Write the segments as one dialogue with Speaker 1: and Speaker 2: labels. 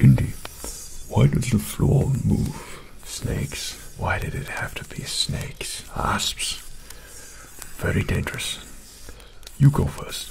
Speaker 1: Indy, why does the floor move? Snakes. Why did it have to be snakes? Asps. Very dangerous. You go first.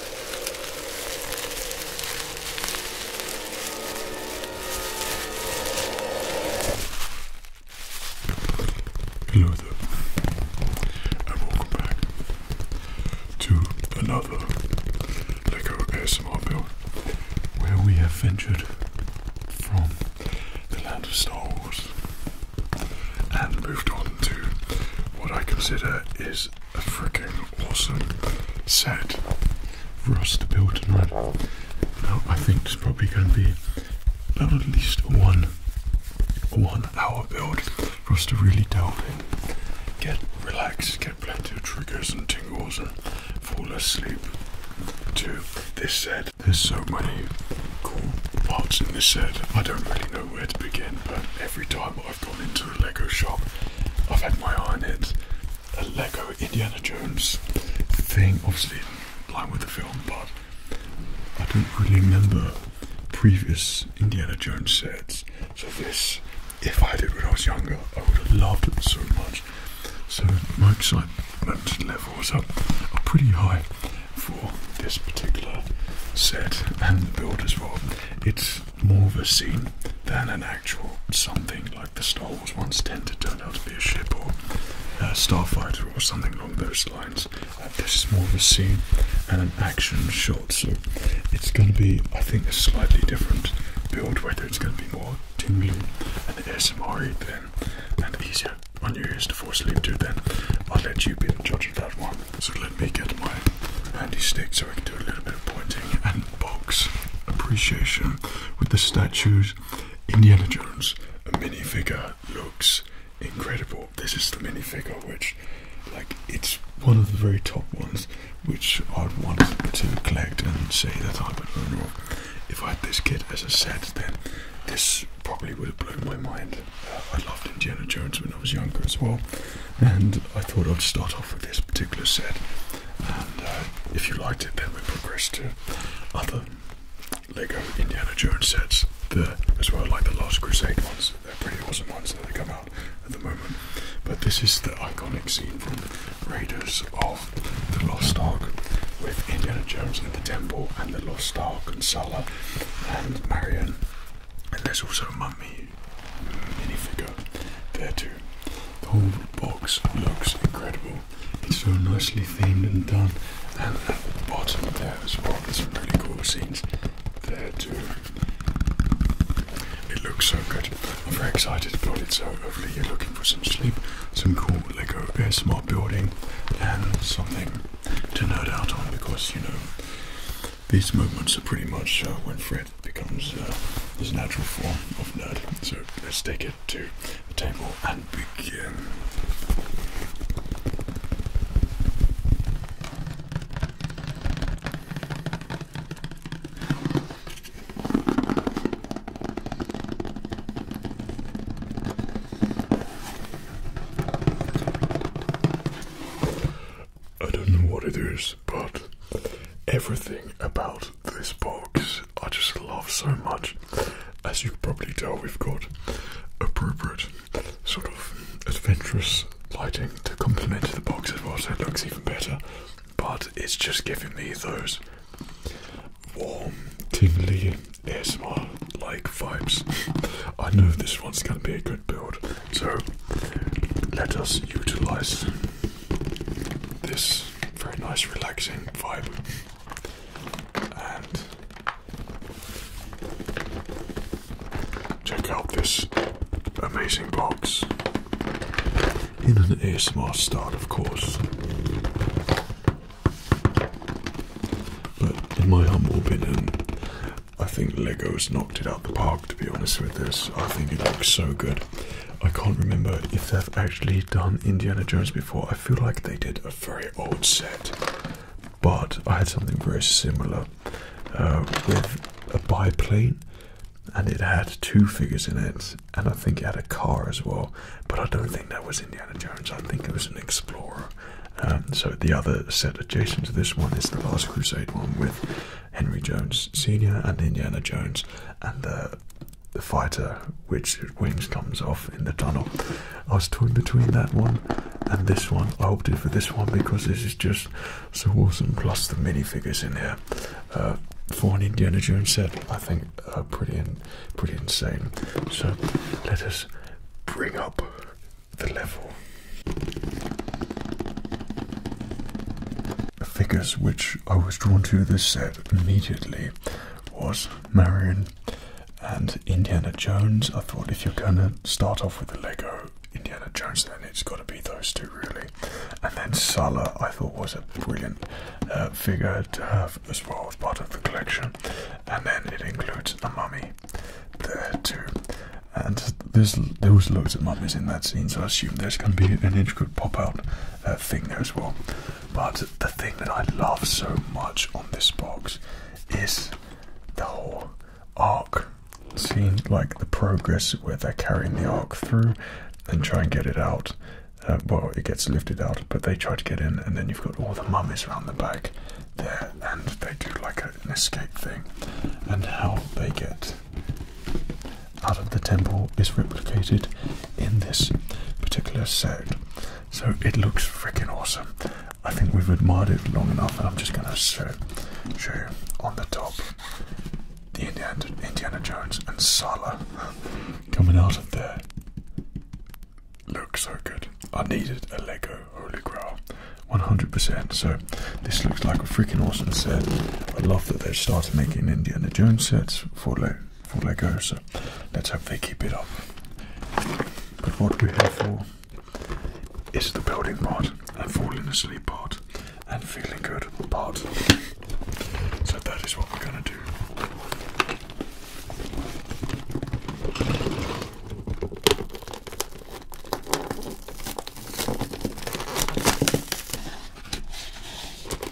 Speaker 1: Hello there, and welcome back to another Lego ASMR build where we have ventured from the land of Star Wars and moved on to what I consider is a freaking awesome set for us to build tonight. Now, I think it's probably going to be about at least one one hour build for us to really delve in, get relaxed, get plenty of triggers and tingles, and fall asleep to this set. There's so many cool parts in this set. I don't really know where to begin, but every time I've gone into the Lego shop, I've had my eye on it. A Lego Indiana Jones thing, obviously blind with the film, but I don't really remember previous Indiana Jones sets. So this, if I had it when I was younger, I would have loved it so much. So my excitement levels are, pretty high for this particular set and the build as well. It's more of a scene than an actual something like the Star Wars ones tend to turn out to be a ship or a uh, starfighter or something along those lines. Uh, this is more of a scene and an action shot, so it's going to be, I think, a slightly different build, whether it's going to be more dimly and ASMR then and easier on your ears to fall asleep to then. I'll let you be the judge of that one. So let me get my handy stick so I can do a little bit of pointing and box appreciation with the statues. Indiana Jones, a figure looks incredible. This is the mini figure which, like, it's one of the very top ones which I'd want to collect and say that I would own. if I had this kit as a set, then this probably would have blown my mind. Uh, I loved Indiana Jones when I was younger as well and I thought I'd start off with this particular set. And uh, if you liked it, then we progress to other Lego Indiana Jones sets there as well, like the Lost Crusade ones. They're pretty awesome ones that they come out at the moment. But this is the iconic scene from Raiders of the Lost Ark with Indiana Jones in the temple and the Lost Ark and Sallah and Marion. And there's also Mummy minifigure there too. The whole box looks incredible. It's so nicely themed and done. And at the bottom there as well, there's some really cool scenes there too. It looks so good. I'm very excited about it. So hopefully you're looking for some sleep, some cool Lego ASMR building, and something to nerd out on because you know these movements are pretty much uh, when Fred becomes uh, his natural form of nerd. So let's take it to the table and begin. I don't know what it is, but everything about this box I just love so much. As you probably tell, we've got appropriate sort of adventurous lighting to complement the box as well, it looks even better. But it's just giving me those warm, tingly ASMR like vibes. I know this one's going to be a good build, so let us utilize this very nice relaxing vibe and check out this amazing box in an ASMR style of course but in my humble opinion I think Lego's knocked it out the park to be honest with this I think it looks so good I can't remember if they've actually done Indiana Jones before. I feel like they did a very old set, but I had something very similar uh, with a biplane and it had two figures in it and I think it had a car as well. But I don't think that was Indiana Jones, I think it was an explorer. Um, so the other set adjacent to this one is the Last Crusade one with Henry Jones Sr. and Indiana Jones and the, the fighter which wings comes off in the tunnel. I was torn between that one and this one. I opted for this one because this is just so awesome. Plus the minifigures in here. Uh, for an Indiana Jones set, I think are pretty, pretty insane. So let us bring up the level. Figures which I was drawn to this set immediately was Marion and Indiana Jones. I thought if you're gonna start off with the Lego Indiana Jones, then it's got to be those two really. And then Salah, I thought was a brilliant uh, figure to have as part of the collection. And then it includes a mummy there too. And there's there was loads of mummies in that scene, so I assume there's going to be an integral pop-out thing there as well. But the thing that I love so much on this box is the whole arc scene, like the progress where they're carrying the arc through and try and get it out. Uh, well, it gets lifted out, but they try to get in, and then you've got all the mummies around the back there, and they do like an escape thing, and how they get out of the temple is replicated in this particular set. So it looks freaking awesome. I think we've admired it long enough, and I'm just going to show, show you on the top the Indiana, Indiana Jones and Salah coming out of there. Looks so good. I needed a Lego Holy Grail, 100%. So this looks like a freaking awesome set. I love that they are starting start making Indiana Jones sets for, Le for Lego, so let's hope they keep it up. But what we have for is the building part, and falling asleep part, and feeling good part. So that is what we're going to do.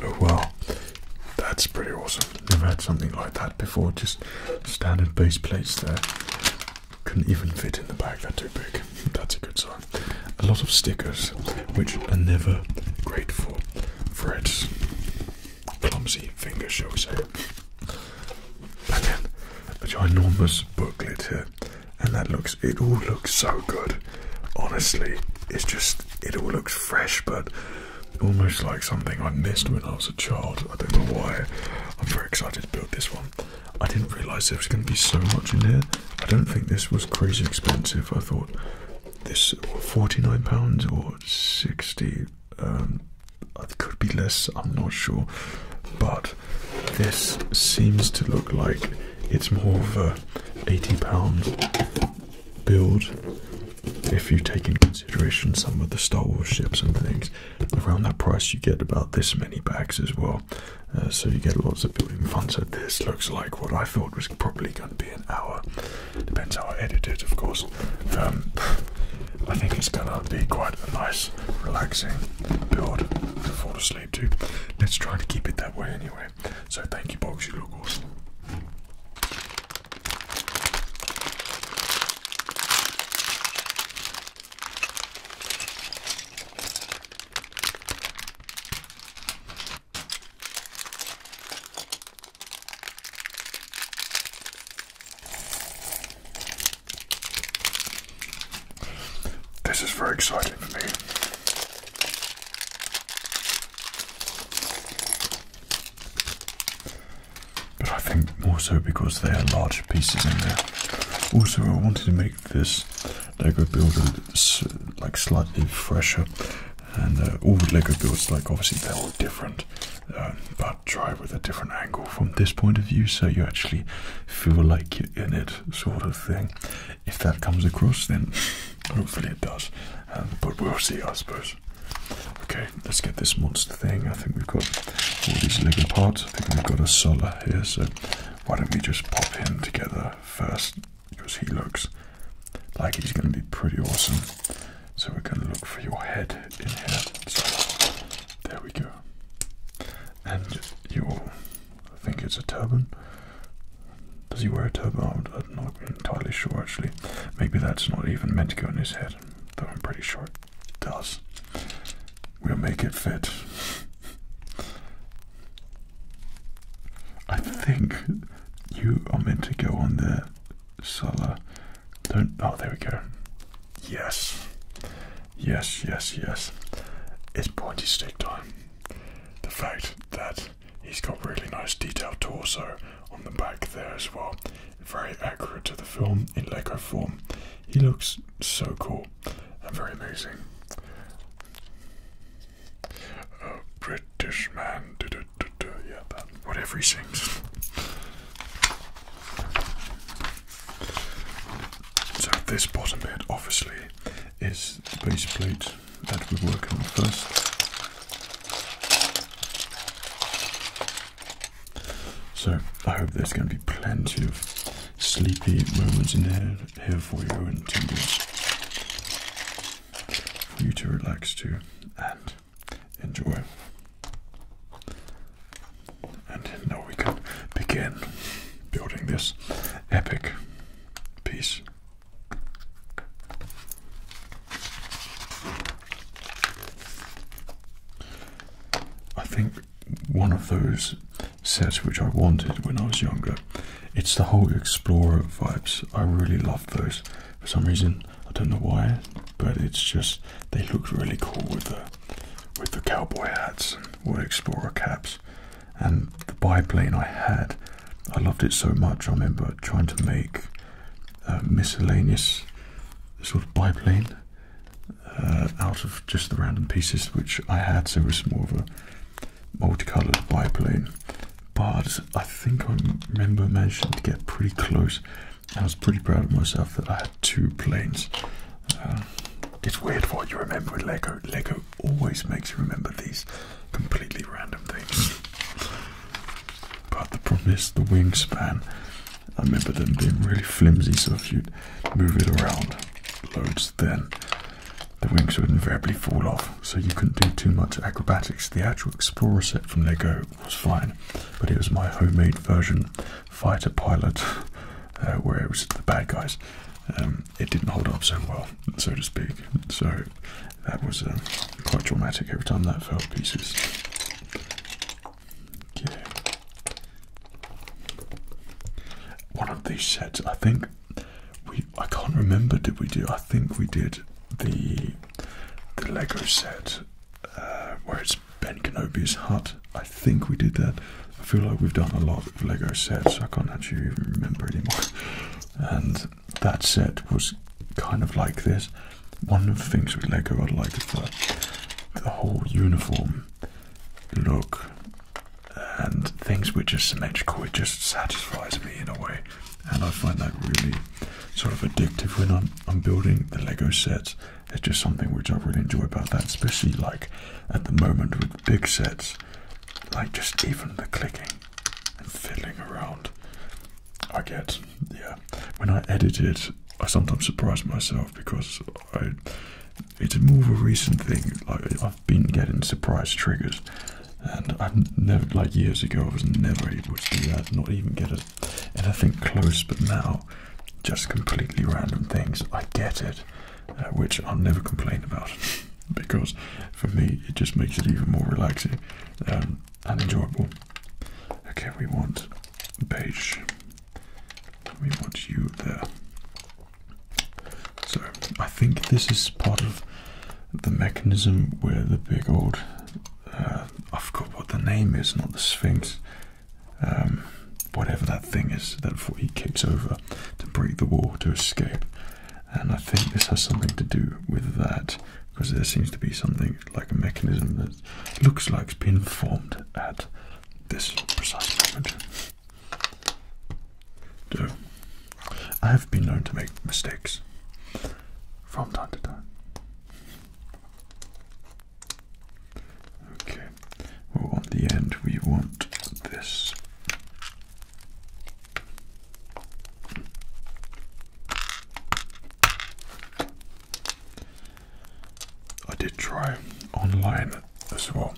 Speaker 1: Oh wow, that's pretty awesome. Never had something like that before. Just standard base plates there. Couldn't even fit in the bag, they're too big. That's a good sign a lot of stickers, which are never great for Fred's clumsy fingers, shall we say. And then a ginormous booklet here, and that looks, it all looks so good. Honestly, it's just, it all looks fresh, but almost like something I missed when I was a child. I don't know why. I'm very excited to build this one. I didn't realise there was going to be so much in here. I don't think this was crazy expensive. I thought this £49 or 60 um, it could be less, I'm not sure. But this seems to look like it's more of a £80 build if you take in consideration some of the Star Wars ships and things. Around that price, you get about this many bags as well. Uh, so you get lots of building fun. So this looks like what I thought was probably going to be an hour. Depends how I edit it, of course. Um, I think it's going to be quite a nice, relaxing build to fall asleep to. Let's try to keep it that way anyway. So thank you, Boxy. You look awesome. This is very exciting for me. But I think more so because they are large pieces in there. Also, I wanted to make this Lego builder that's like slightly fresher. And uh, all Lego builds, like obviously they're all different, um, but try with a different angle from this point of view, so you actually feel like you're in it, sort of thing. If that comes across, then hopefully it does. Um, but we'll see, I suppose. Okay, let's get this monster thing. I think we've got all these Lego parts. I think we've got a solar here, so why don't we just pop him together first? because he looks like he's going to be pretty awesome. So we're going to look for your head in here. there we go. And you will think it's a turban. Does he wear a turban? I'm not entirely sure actually. Maybe that's not even meant to go on his head, though I'm pretty sure it does. We'll make it fit. I think you are meant to go on there, Salah. Don't. Oh, there we go. Yes. Yes, yes, yes. It's pointy stick time. The fact that he's got really nice detailed torso on the back there as well. Very accurate to the film in Lego form. He looks so cool and very amazing. A British man. Yeah, that. Whatever he sings. So this bottom bit, obviously, is the base plate that we're working on first. So I hope there's going to be plenty of sleepy moments in there here for you and for you to relax to and enjoy. And now we can begin building this epic piece. I think one of those sets which I wanted when I was younger it's the whole explorer vibes. I really love those for some reason. I don't know why, but it's just they look really cool with the with the cowboy hats or explorer caps. And the biplane I had, I loved it so much. I remember trying to make a miscellaneous sort of biplane uh, out of just the random pieces which I had. So it was more of a multicolored biplane, but I think I remember managing to get pretty close. I was pretty proud of myself that I had two planes. Uh, it's weird what you remember with Lego. Lego always makes you remember these completely random things. but the problem is the wingspan. I remember them being really flimsy, so if you move it around loads, then the wings would invariably fall off, so you couldn't do too much acrobatics. The actual Explorer set from Lego was fine, but it was my homemade version fighter pilot, uh, where it was the bad guys. Um, it didn't hold up so well, so to speak. So that was um, quite dramatic every time that fell to pieces. Okay. One of these sets, I think we I can't remember. Did we do? I think we did the the Lego set uh, where it's Ben Kenobi's hut. I think we did that. I feel like we've done a lot of Lego sets. I can't actually even remember anymore. And that set was kind of like this. One of the things with Lego I like is the the whole uniform look and things which are symmetrical, it just satisfies me in a way, and I find that really sort of addictive when I'm, I'm building the Lego sets. It's just something which I really enjoy about that, especially like at the moment with big sets, like just even the clicking and fiddling around. I get, yeah. When I edit it, I sometimes surprise myself because I. It's more of a recent thing been getting surprise triggers, and I've never like years ago I was never able to do that, not even get a, anything close. But now, just completely random things. I get it, uh, which I'll never complain about, because for me it just makes it even more relaxing um, and enjoyable. Okay, we want beige. We want you there. So I think this is part of the mechanism where the big old uh, I forgot what the name is, not the Sphinx, um, whatever that thing is that he kicks over to break the wall to escape. And I think this has something to do with that because there seems to be something like a mechanism that looks like it's been formed at this precise moment do. I have been known to make mistakes from time to time. Okay, well, on the end, we want this. I did try online as well.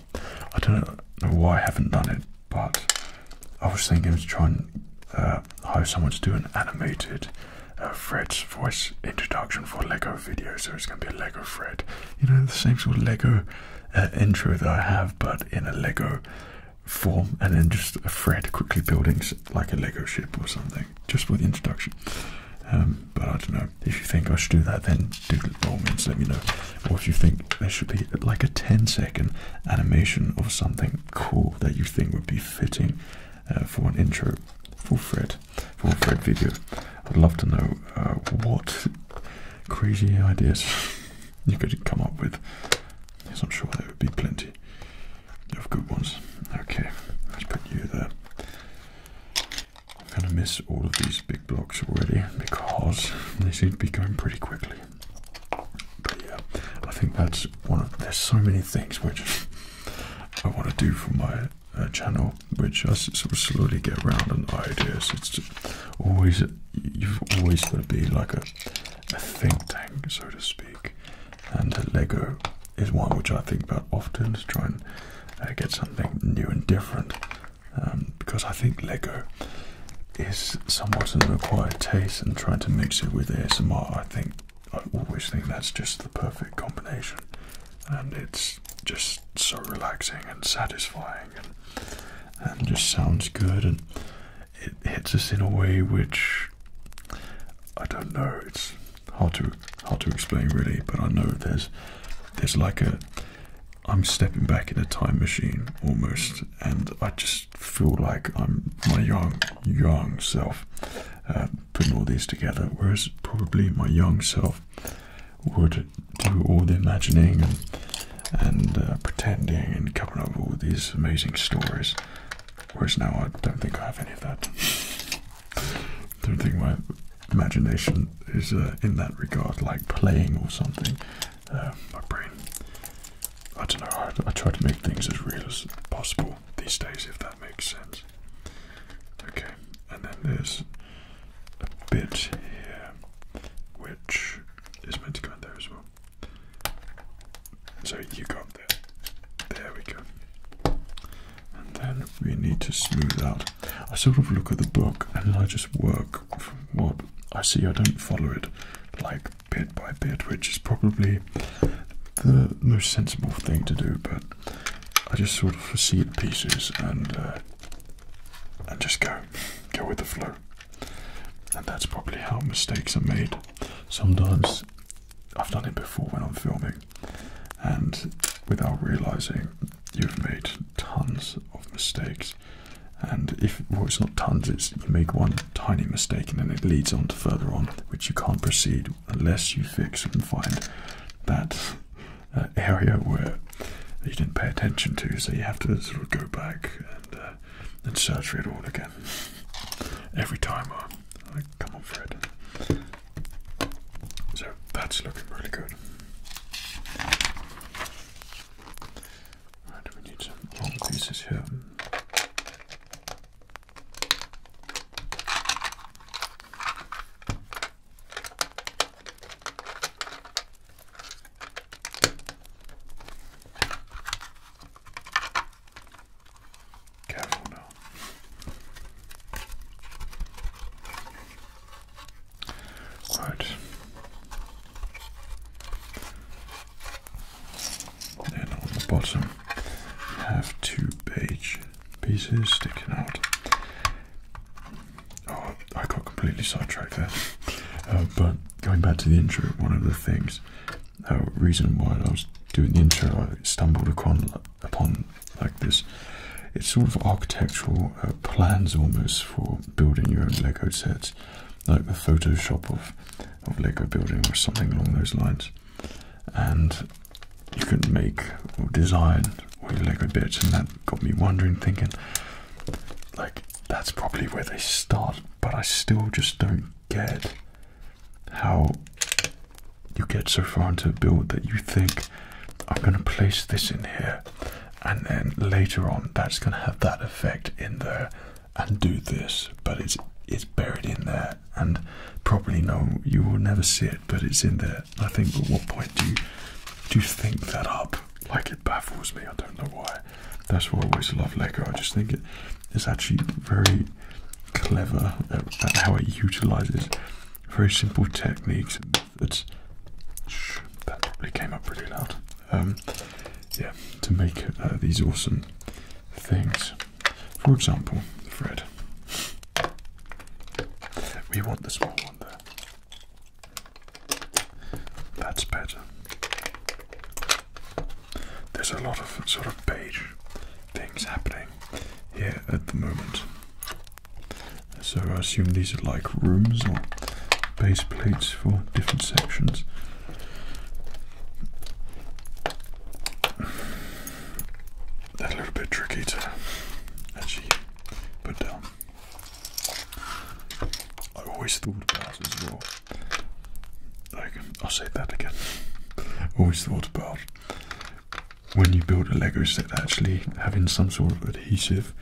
Speaker 1: I don't know why I haven't done it but I was thinking to try and uh, hire someone to do an animated uh, Fred's voice introduction for Lego video, so it's going to be a Lego Fred. You know, the same sort of Lego uh, intro that I have, but in a Lego form, and then just Fred quickly building like a Lego ship or something, just for the introduction. Um, but I don't know. If you think I should do that, then do it let me know. Or if you think there should be like a 10 second animation of something cool that you think would be fitting uh, for an intro for Fred, for Fred video? I'd love to know uh, what crazy ideas you could come up with. Yes, I'm sure there would be plenty of good ones. Okay, let's put you there. I'm going to miss all of these big blocks already because they seem to be going pretty quickly yeah, I think that's one of. There's so many things which I want to do for my uh, channel, which I sort of slowly get around on ideas. It's just always you've always got to be like a a think tank, so to speak. And Lego is one which I think about often to trying to uh, get something new and different. Um, because I think Lego is somewhat an acquired taste and trying to mix it with ASMR, I think I always think that's just the perfect combination. And it's just so relaxing and satisfying and, and just sounds good and it hits us in a way which I don't know, it's hard to hard to explain really, but I know there's there's like a I'm stepping back in a time machine almost and I just feel like I'm my young, young self uh, putting all these together, whereas probably my young self would do all the imagining and, and uh, pretending and coming up with all these amazing stories. Whereas now I don't think I have any of that. don't think my imagination is uh, in that regard like playing or something. Um, my brain. I don't know. I, try to make things as real as possible these days, if that makes sense. Okay, and then there's a bit here which is meant to go in there as well. So you go up there. There we go. And then we need to smooth out. I sort of look at the book and I just work from what I see. I don't follow it like bit by bit, which is probably the most sensible thing to do. But I just sort of see the pieces and uh, and just go, go with the flow. And that's probably how mistakes are made. Sometimes I've done it before when I'm filming, and without realizing you've made tons of mistakes. And if well, it's not tons, it's you make one tiny mistake and then it leads on to further on, which you can't proceed unless you fix and find that uh, area where you didn't pay attention to. So you have to sort of go back and, uh, search for it all again. Every time. I like, come on, Fred. So that's looking really good. Right, we need some long pieces here. Careful now. Right. Then on the bottom, you have two beige pieces sticking out. Oh, I got completely sidetracked there. Uh, but going back to the intro, one of the things, the uh, reason why I was doing the intro, I stumbled upon, upon like this. It's sort of architectural uh, plans almost for building your own Lego sets, like the Photoshop of of Lego building or something along those lines. And you can make or design or Lego bit, and that got me wondering, thinking, like, that's probably where they start, but I still just don't get how you get so far into a build that you think, I'm going to place this in here, and then later on, that's going to have that effect in there, and do this, but it's it's buried in there, and probably no, you will never see it, but it's in there. I think at what point do you do think that up? Like it baffles me. I don't know why. That's why I always love Lego. I just think it is actually very clever at, how it utilizes very simple techniques and that probably came up pretty loud. Um, yeah, to make uh, these awesome things. For example, Fred. We want the small one there. That's better. There's a lot of sort of beige things happening here at the moment. So I assume these are like rooms or base plates for different sections. That's a little bit tricky to actually put down. I always thought about as well. Like, I'll say that again. always thought about when you build a Lego set actually having some sort of adhesive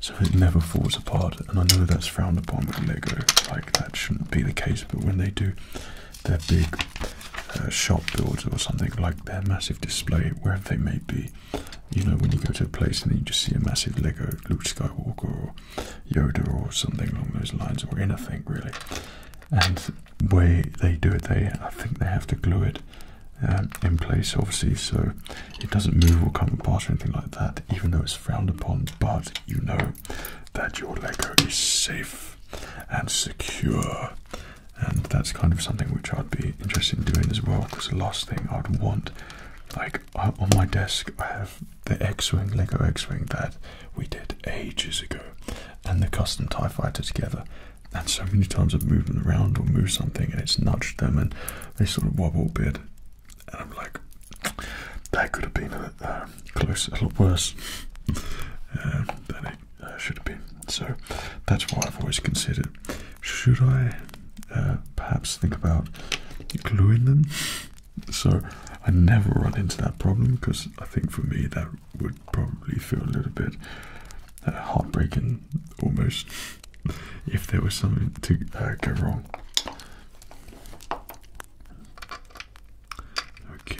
Speaker 1: so it never falls apart. And I know that's frowned upon with Lego, like that shouldn't be the case, but when they do their big uh, shop builds or something like their massive display, wherever they may be. You know, when you go to a place and you just see a massive Lego Luke Skywalker or Yoda or something along those lines, or anything really. And the way they do it, they I think they have to glue it uh, in place, obviously, so it doesn't move or come apart or anything like that, even though it's frowned upon. But you know, that your Lego is safe and secure. And that's kind of something which I'd be interested in doing as well, because the last thing I'd want, like uh, on my desk, I have the X-Wing, Lego X-Wing that we did ages ago, and the custom TIE fighter together. And so many times I've moved them around or moved something and it's nudged them and they sort of wobble a bit. And I'm like, that could have been a, a uh, um, close, a lot worse uh, than it uh, should have been. So that's why I've always considered should I uh, perhaps think about gluing them? So I never run into that problem because I think for me that would probably feel a little bit heartbreaking almost if there was something to go wrong. Okay.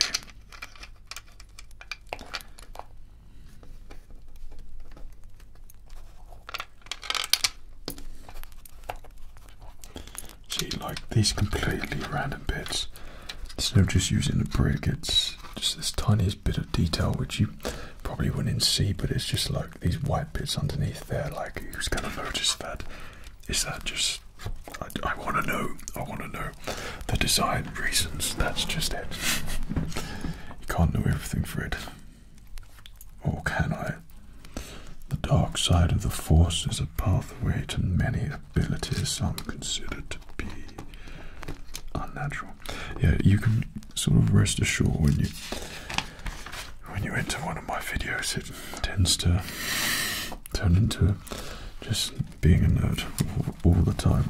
Speaker 1: See, like these completely random bits, instead of just using the brick, it's just this tiniest bit of detail which you probably wouldn't see, but it's just like these white bits underneath there. Like, who's gonna notice that? Is that just I, want to know. I want to know the design reasons. That's just it. you can't know everything, Fred. Or can I? The dark side of the Force is a pathway to many abilities, some considered to be unnatural. Yeah, you can sort of rest assured when you when you enter one of my videos, it tends to turn into just being a nerd all, the time.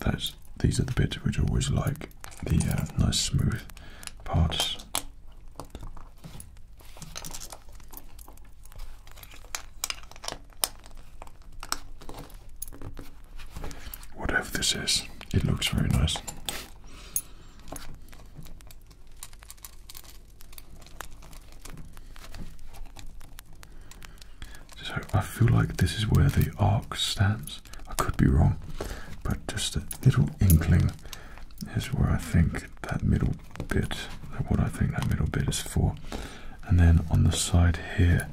Speaker 1: That's these are the bits which I always like the uh, nice smooth parts. Whatever this is, it looks very nice. So I feel like this is where the arc stands. I could be wrong, but just a little inkling is where I think that middle bit, what I think that middle bit is for and then on the side here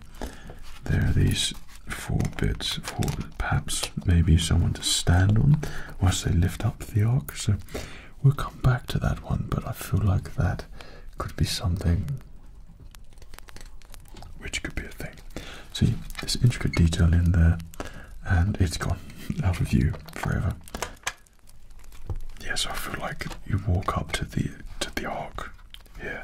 Speaker 1: there are these four bits for perhaps maybe someone to stand on whilst they lift up the ark so we'll come back to that one but i feel like that could be something which could be a thing see this intricate detail in there and it's gone out of view forever yes i feel like you walk up to the to the ark yeah.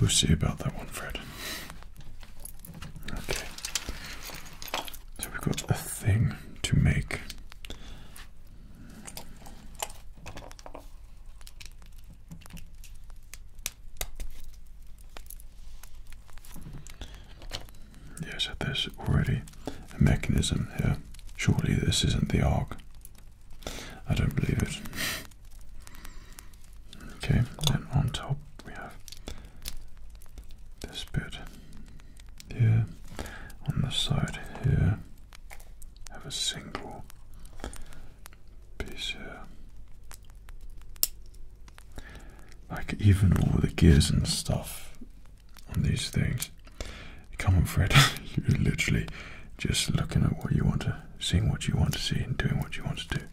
Speaker 1: We'll see about that one, Fred. Okay. So we've got a thing to make. Yes, yeah, already a mechanism here. Surely this isn't the arc. I don't believe it. Okay, then on top we have this bit here. On the side here, have a single piece here. Like even all the gears and stuff on these things. Come on, Fred, you're literally just looking at what you want to, seeing what you want to see, and doing what you want to do.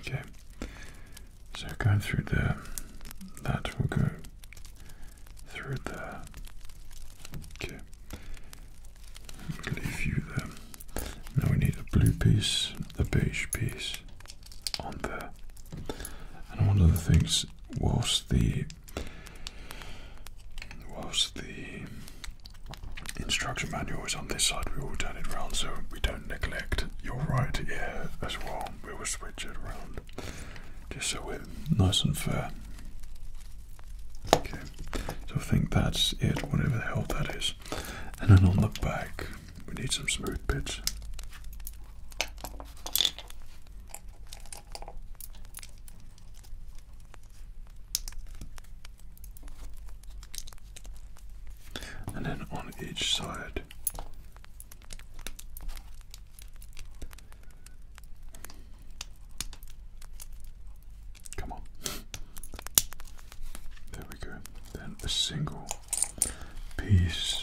Speaker 1: Okay, so going through there, that will go through there. Okay, leave you there. Now we need a blue piece, a beige piece on there. And one of the things, was the whilst the instruction manual is on this side, we will turn it round so we don't neglect your right ear as well. We will switch it around just so we're nice and fair. Okay, so I think that's it, whatever the hell that is. And then on the back, we need some smooth bits. And then on each side, come on, there we go. Then a single piece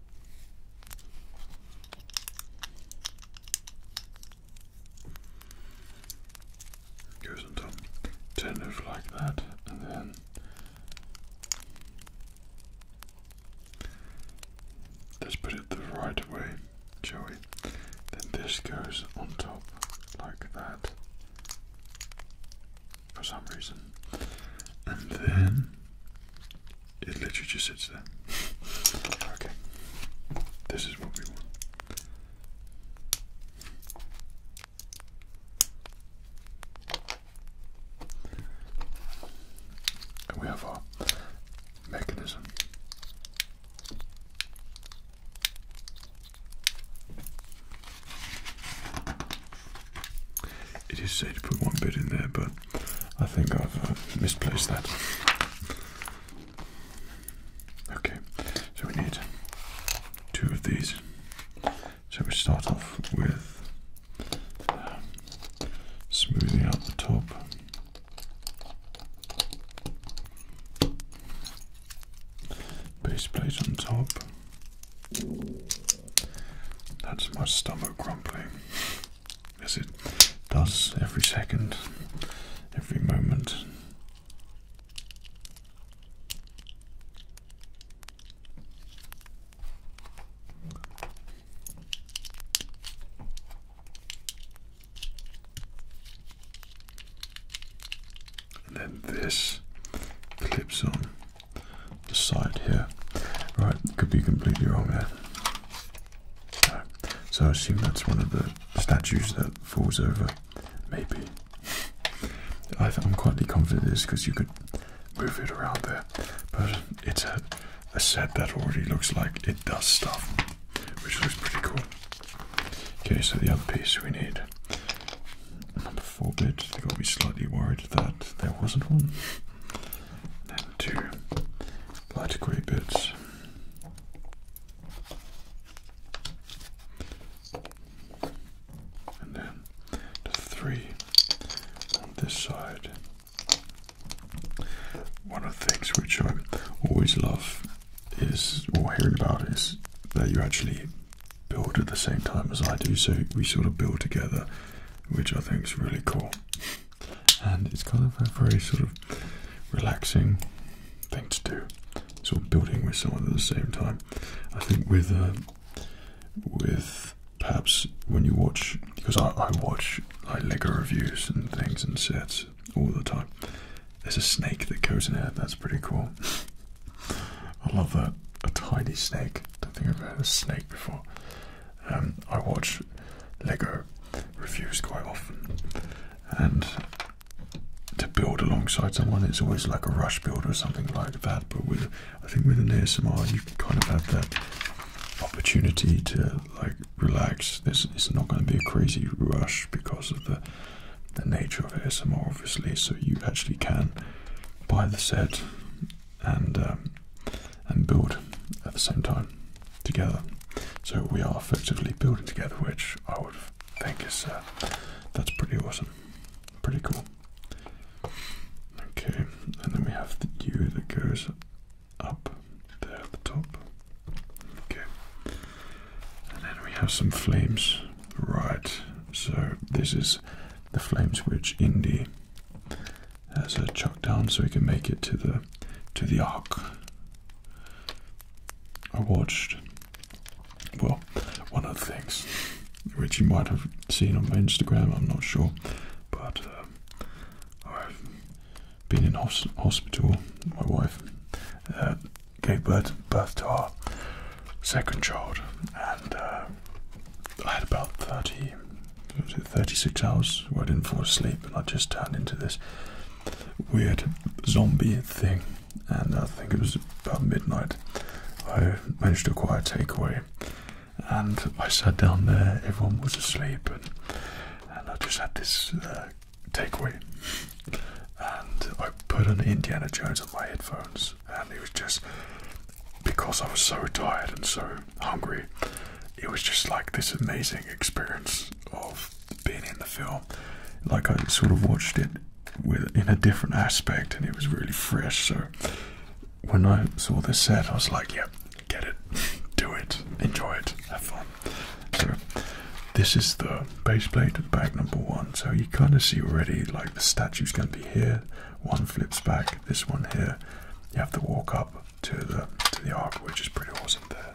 Speaker 1: Goes until tentative like that, and then let's put it the right way, shall we? Then this goes on top like that for some reason, and then it literally just sits there. okay. This is what we want. we have our mechanism. It is safe to put one bit in there, but I think I've uh, misplaced that. Okay, so we need two of these. So we start off with um, smoothing out the top. Base plate on top. That's my stomach grumbling. As it does every second, every moment. And then this clips on the side here. Right, could be completely wrong there. So I assume that's one of the statues that falls over. Maybe. i am quite confident this because you could move it around there. But it's a, set that already looks like it does stuff, which looks pretty cool. Okay, so the other piece we need. Number 4 bit, they got me slightly worried that there wasn't one two lighter great bits. And then the three on this side. One of the things which I always love is, or hearing about, is that you actually build at the same time as I do. So we sort of build together, which I think is really cool and it's kind of a very sort of relaxing thing to do. Sort of building with someone at the same time. I think with uh, with perhaps when you watch because I, I watch like Lego reviews and things and sets all the time. There's a snake that goes in there. That's pretty cool. I love that. A tiny snake. Don't think I've had a snake before. Um, I watch Lego reviews quite often, and to build alongside someone, it's always like a rush build or something like that. But with, I think with an ASMR, you kind of have that opportunity to like relax. This is not going to be a crazy rush because of the the nature of ASMR, obviously. So you actually can buy the set and um, and build at the same time together. So we are effectively building together, which I would think is uh, that's pretty awesome, pretty cool. Okay, and then we have the U that goes up there at the top. Okay, and then we have some flames, right? So this is the flames which Indy as a chuck down so we can make it to the to the arc. I watched well one of the things which you might have seen on my Instagram, I'm not sure, but uh, I've been in hos hospital. My wife uh, gave birth, to our second child, and uh, I had about 30 was it 36 hours where I didn't fall asleep and I just turned into this weird zombie thing. And I think it was about midnight. I managed to acquire takeaway and I sat down there, everyone was asleep, and, I just had this uh, takeaway. And I put an Indiana Jones on my headphones, and it was just because I was so tired and so hungry, it was just like this amazing experience of being in the film. Like I sort of watched it with in a different aspect, and it was really fresh. So when I saw this set, I was like, "Yeah, get it, do it, enjoy it, have fun." So this is the base plate at bag number one. So you kind of see already like the statue's going to be here. One flips back. This one here. You have to walk up to the to the arc, which is pretty awesome there.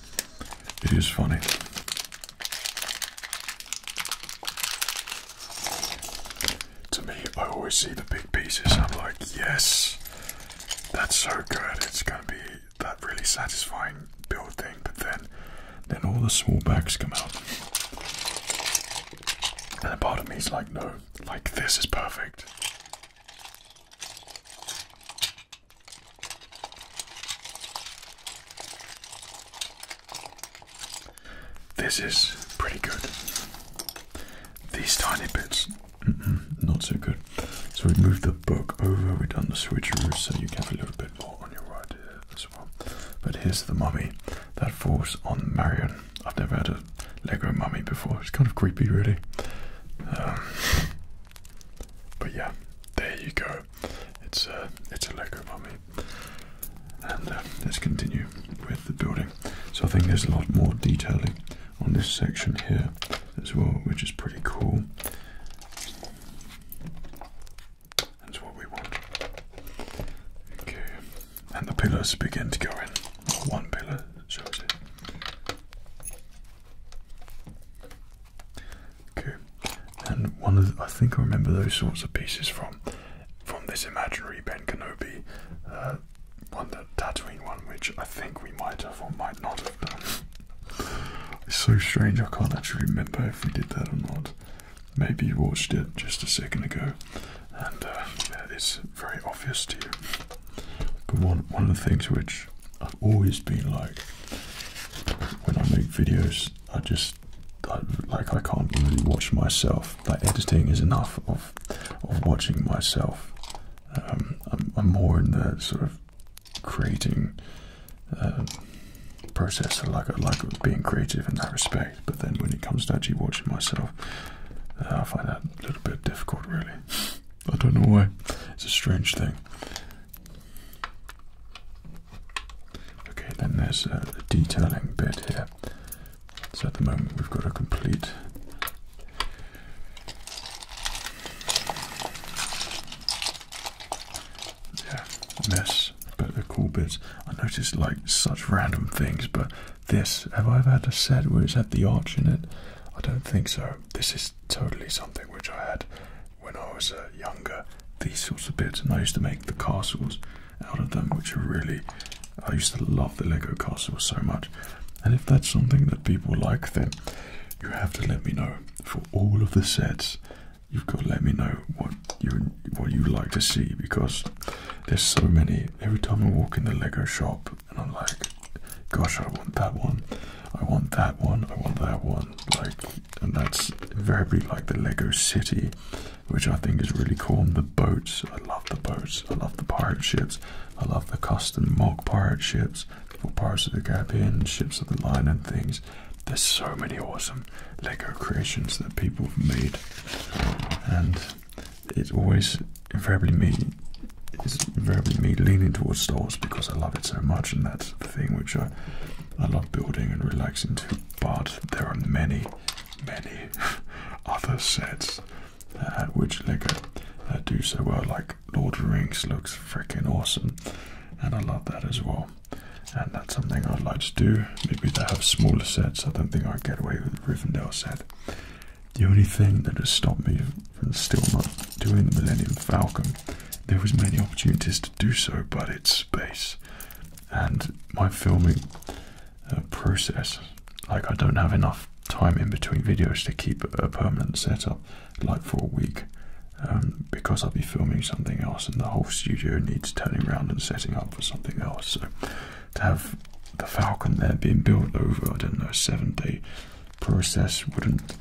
Speaker 1: It is funny. To me, I always see the big pieces. I'm like, yes, that's so good. It's going to be that really satisfying build thing. But then, then all the small bags come out. And a part of me is like, no, like this is perfect. This is pretty good. These tiny bits, not so good. So we've moved the book over, we've done the switcheroo, so you can have a little bit more on your right here as well. But here's the mummy that falls on Marion. I've never had a Lego mummy before. It's kind of creepy, really. Um, but yeah, there you go. It's a uh, it's a Lego mummy, and uh, let's continue with the building. So I think there's a lot more detailing on this section here as well, which is pretty cool. That's what we want. Okay, and the pillars begin to go in. one pillar, shows it. Okay, and one of I think I remember those sorts of pieces from from this imaginary Ben Kenobi uh, one, the Tatooine one, which I think we might have or might not have done. it's so strange. I can't actually remember if we did that or not. Maybe you watched it just a second ago, and uh, yeah, it's very obvious to you. But one one of the things which I've always been like, when I make videos, I just like I can't really watch myself. Like editing is enough of of watching myself. Um, I'm, more in the sort of creating um, process, like like being creative in that respect. But then when it comes to actually watching myself, uh, I find that a little bit difficult, really. I don't know why. It's a strange thing. Okay, then there's a uh, detailing bit here. So at the moment we've got a complete yeah, mess, but a cool bits. I noticed like such random things, but this, have I ever had a set where it's had the arch in it? I don't think so. This is totally something which I had when I was uh, younger, these sorts of bits, and I used to make the castles out of them, which are really. I used to love the Lego castles so much. And if that's something that people like, then you have to let me know. For all of the sets, you've got to let me know what you what you like to see because there's so many. Every time I walk in the Lego shop, and I'm like, gosh, I want that one. I want that one, I want that one, like, and that's invariably like the Lego City, which I think is really cool. And the boats, I love the boats, I love the pirate ships, I love the custom mock pirate ships for parts of the Caribbean, Ships of the Line, and things. There's so many awesome Lego creations that people have made, and it's always invariably me is invariably me leaning towards Star because I love it so much, and that's thing, which I, I love building and relaxing to, but there are many, many other sets uh, which Lego uh, do so well, like Lord of the Rings looks freaking awesome, and I love that as well. And that's something I'd like to do. Maybe they have smaller sets. I don't think I'd get away with a Rivendell set. The only thing that has stopped me still not doing the Millennium Falcon. There was many opportunities to do so, but it's space. And my filming uh, process, like I don't have enough time in between videos to keep a permanent setup, like for a week, um, because I'll be filming something else and the whole studio needs turning around and setting up for something else. So to have the Falcon there being built over, I don't know, a seven day process wouldn't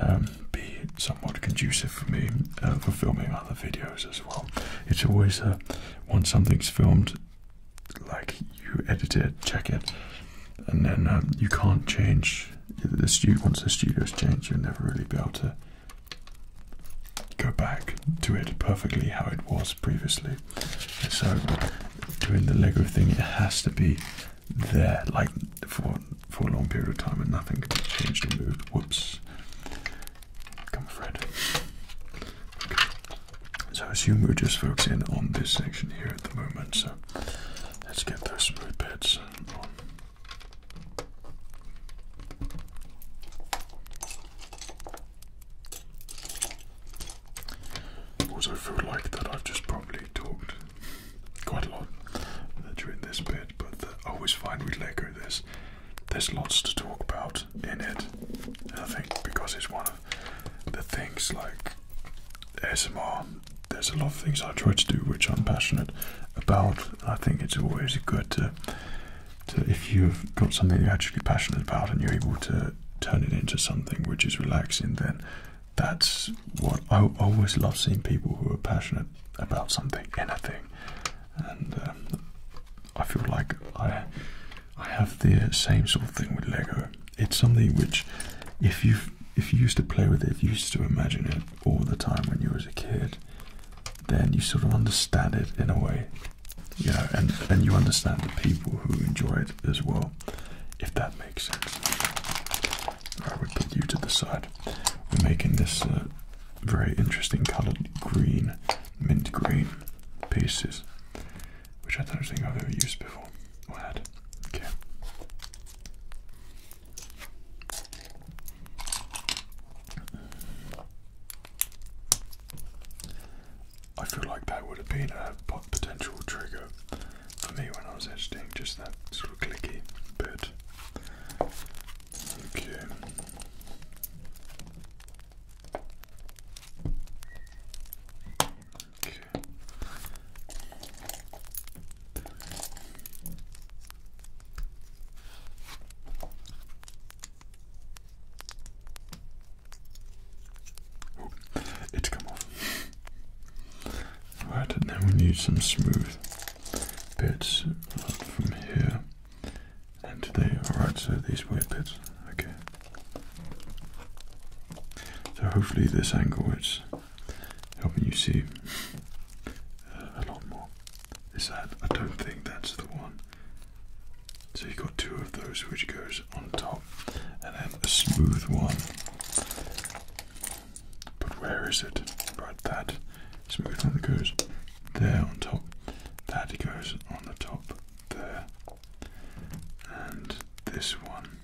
Speaker 1: um, be somewhat conducive for me uh, for filming other videos as well. It's always uh, once something's filmed, like you edit it, check it, and then um, you can't change the studio. Once the studio's changed, you'll never really be able to go back to it perfectly how it was previously. So doing the Lego thing, it has to be there, like for for a long period of time, and nothing could be changed or moved. Whoops. Come, Fred. So I assume we're just focusing on this section here at the moment. So let's get those smooth bits on. Also, feel like that I've just probably talked quite a lot during this bit, but I always find with Lego there's there's lots to talk about in it. I think because it's one of the things like ASMR, there's a lot of things I try to do which I'm passionate about. I think it's always good to, to if you've got something you're actually passionate about and you're able to turn it into something which is relaxing, then that's what I always love seeing people who are passionate about something, anything, and um, I feel like I I have the same sort of thing with Lego. It's something which, if you if you used to play with it, used to imagine it all the time when you was a kid, then you sort of understand it in a way, you know, and and you understand the people who enjoy it as well, if that makes sense. I would put you to the side. We're making this uh, very interesting coloured green, mint green pieces, which I don't think I've ever used before or had. Okay. I feel like that would have been a potential trigger for me when I was editing, just that sort of clicky bit. Okay. Okay. Oh, it's come off. Alright, and we need some smooth bits from here and today. Alright, so these weird bits. Okay. So hopefully this angle is helping you see uh, a lot more. Is that? I don't think that's the one. So you've got two of those which goes on top and then a smooth one but where is it? Right, that smooth one goes there on top. That goes on the top there. And this one.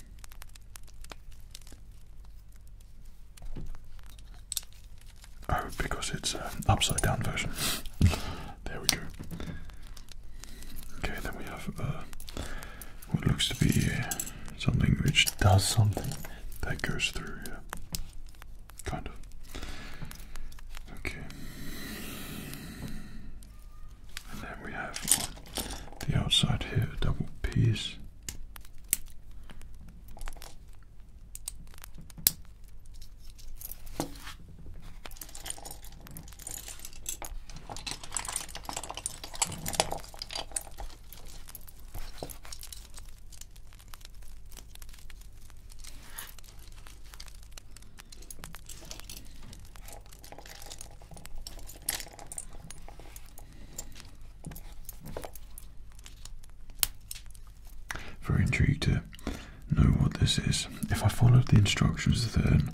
Speaker 1: Oh, because it's an upside down version. there we go. Okay, then we have uh, what looks to be something which does something that goes through Kind of. Okay. And then we have the outside here double piece. Very intrigued to know what this is. If I followed the instructions, then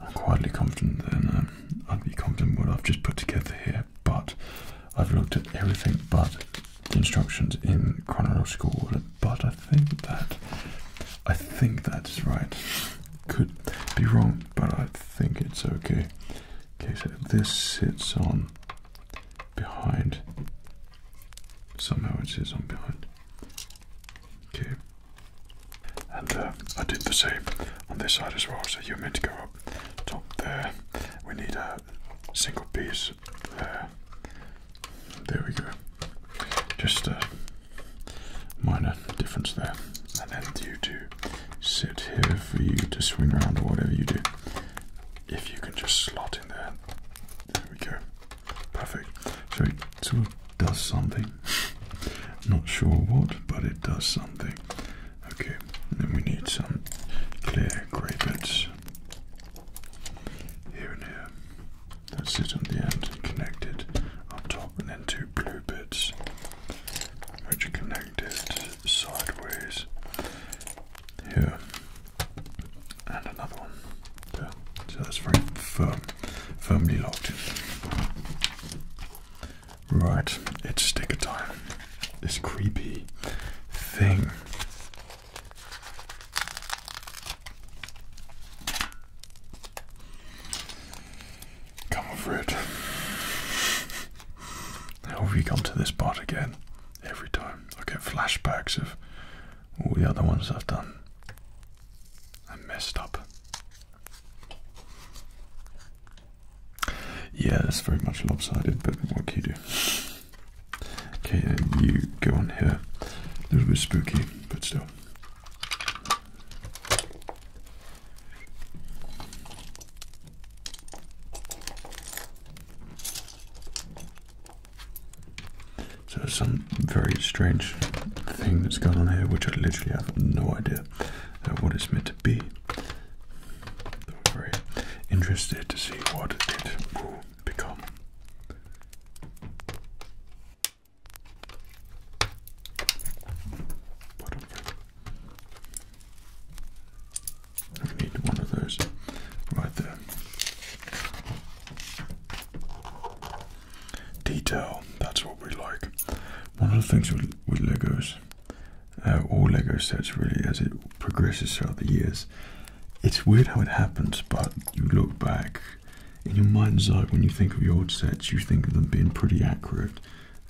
Speaker 1: I'm quietly confident. Then um, I'd be confident what I've just put together here. But I've looked at everything but the instructions in chronological order, but I think that I think that's right. Could be wrong, but I think it's okay. Okay, so this sits on behind. Somehow it sits on behind. Okay. And uh, I did the same on this side as well, so you're meant to go up top there. We need a uh, single piece uh, there. we go. Just a minor difference there. And then you do sit here for you to swing around or whatever you do. If you can just slot in there. There we go. Perfect. So it does something. Not sure what, but it does something. Okay, then we need some clear crayons here and here that sit on the end and it up top and then two blue bits which are connected sideways here and another one there. So that's very firm, firmly locked in. Right, it's sticker time. This creepy thing Come over it. How have we come to this part again? Every time I get flashbacks of all the other ones I've done. I messed up. Yeah, it's very much lopsided, but what can you do? Okay, and you go on here. A little bit spooky, but still. So some very strange thing that's gone on here, which I literally have no idea uh, what it's meant to be very interested to see what it will become. need one of those right there. Detail, that's what we like. One of the things with, with Legos, uh, all Lego sets really, as it progresses throughout the years, it's weird how it happens, but you look back in your mind's eye when you think of your old sets, you think of them being pretty accurate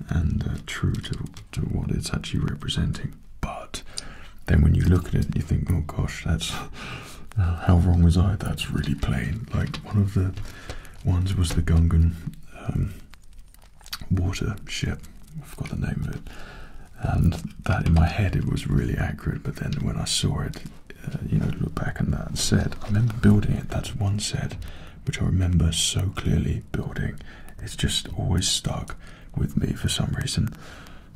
Speaker 1: and uh, true to, to what it's actually representing. But then when you look at it, you think, oh gosh, that's uh, how wrong was I? That's really plain. Like one of the ones was the Gungan um, water ship. I forgot the name of it and that in my head it was really accurate but then when I saw it uh, you know look back on that set I remember building it that's one set which I remember so clearly building it's just always stuck with me for some reason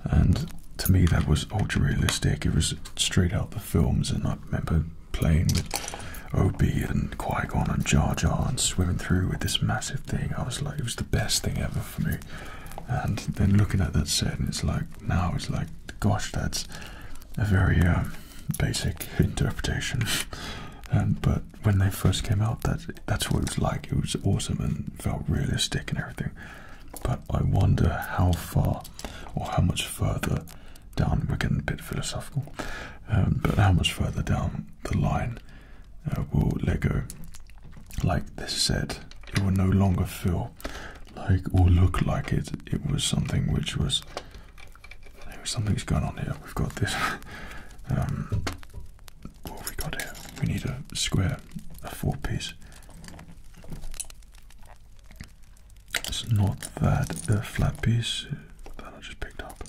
Speaker 1: and to me that was ultra realistic it was straight out the films and I remember playing with Obi and Qui-Gon and Jar Jar and swimming through with this massive thing I was like it was the best thing ever for me and then looking at that set and it's like now it's like gosh that's a very uh, basic interpretation but when they first came out that that's what it was like it was awesome and felt realistic and everything but i wonder how far or how much further down we're getting a bit philosophical um, but how much further down the line uh, will Lego Like this set? it will no longer feel like or look like it. It was something which was. Something's going on here. We've got this. Um, what have we got here? We need a square, a four piece. It's not that flat piece that I just picked up.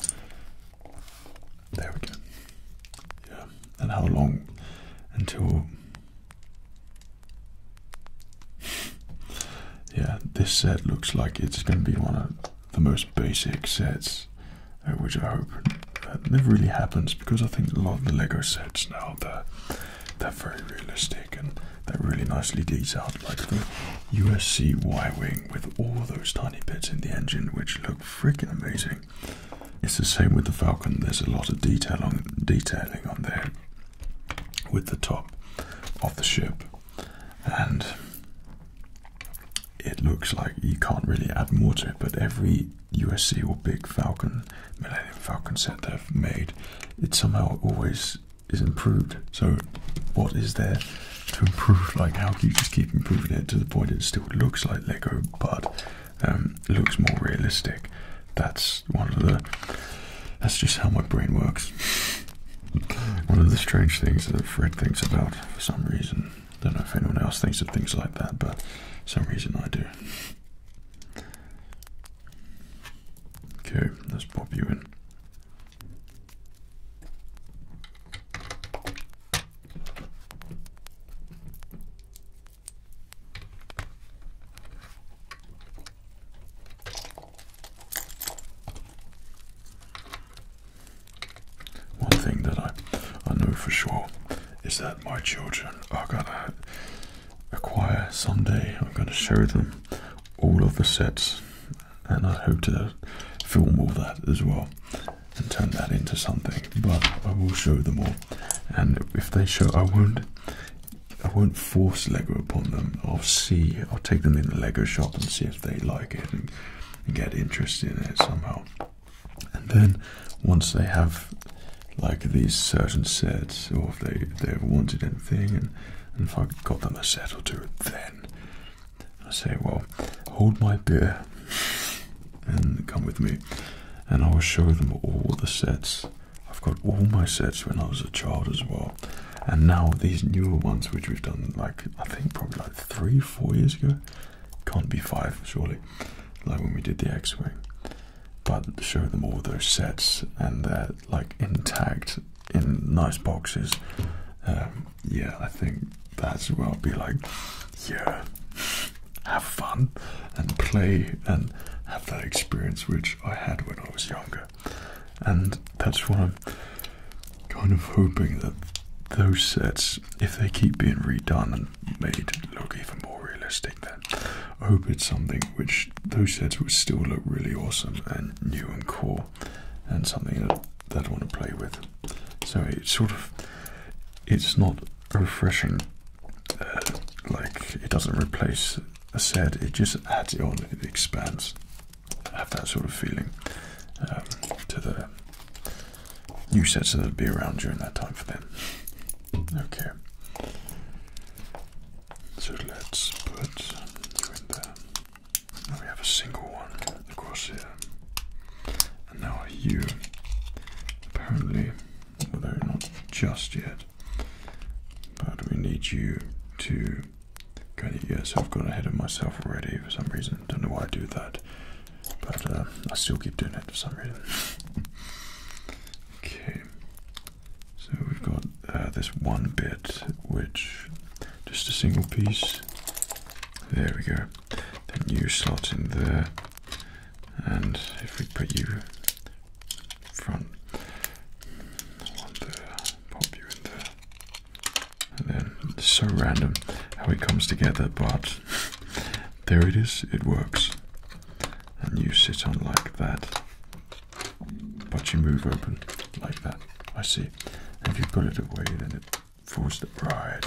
Speaker 1: There we go. Yeah and how long until yeah this set looks like it's going to be one of the most basic sets uh, which i hope never really happens because i think a lot of the lego sets now they're, they're very realistic and they're really nicely detailed like the usc y-wing with all those tiny bits in the engine which look freaking amazing it's the same with the Falcon. There's a lot of detailing on there with the top of the ship, and it looks like you can't really add more to it. But every USC or big Falcon, Millennium Falcon set they've made, it somehow always is improved. So, what is there to improve? Like, how can you just keep improving it to the point it still looks like Lego, but um, looks more realistic. That's one of the. That's just how my brain works. one of the strange things that Fred thinks about for some reason. Don't know if anyone else thinks of things like that, but for some reason I do. Okay, let's pop you in. One thing that I, I know for sure is that my children are gonna acquire someday. I'm gonna show them all of the sets, and I hope to film all that as well and turn that into something. But I will show them all and if they show, I won't, I won't force Lego upon them. I'll see, I'll take them in the Lego shop and see if they like it and, get interested in it somehow. And then once they have like these certain sets, or if they they've wanted anything, and, if I got them a set or two, then I say, well, hold my beer. and come with me and I will show them all the sets. I've got all my sets when I was a child as well. And now these newer ones which we've done like I think probably like three, four years ago. Can't be five, surely. Like when we did the X-Wing. But show them all those sets and they're like intact in nice boxes. Um, yeah, I think that's where I'll be like, yeah have fun and play and have that experience which I had when I was younger. And that's what I'm kind of hoping that those sets, if they keep being redone and made look even more realistic, then I hope it's something which those sets would still look really awesome and new and cool and something that, I want to play with. So it's sort of, it's not refreshing uh, like it doesn't replace a set, it just adds it on, it expands. I have that sort of feeling um, to the new sets that'll be around during that time for them. Okay. So let's put in there. Now we have a single one across here. And now you apparently although not just yet. But we need you to. Okay, yes, I've gone ahead of myself already for some reason. Don't know why I do that, but um, I still keep doing it for some reason. okay, so we've got uh, this one bit, which just a single piece. There we go. Then you slot in there and if we put you front, I want to pop you in there. And then so random how it comes together, but there it is, it works. And you sit on like that, but you move open like that. I see. if you pull it away, then it falls to right.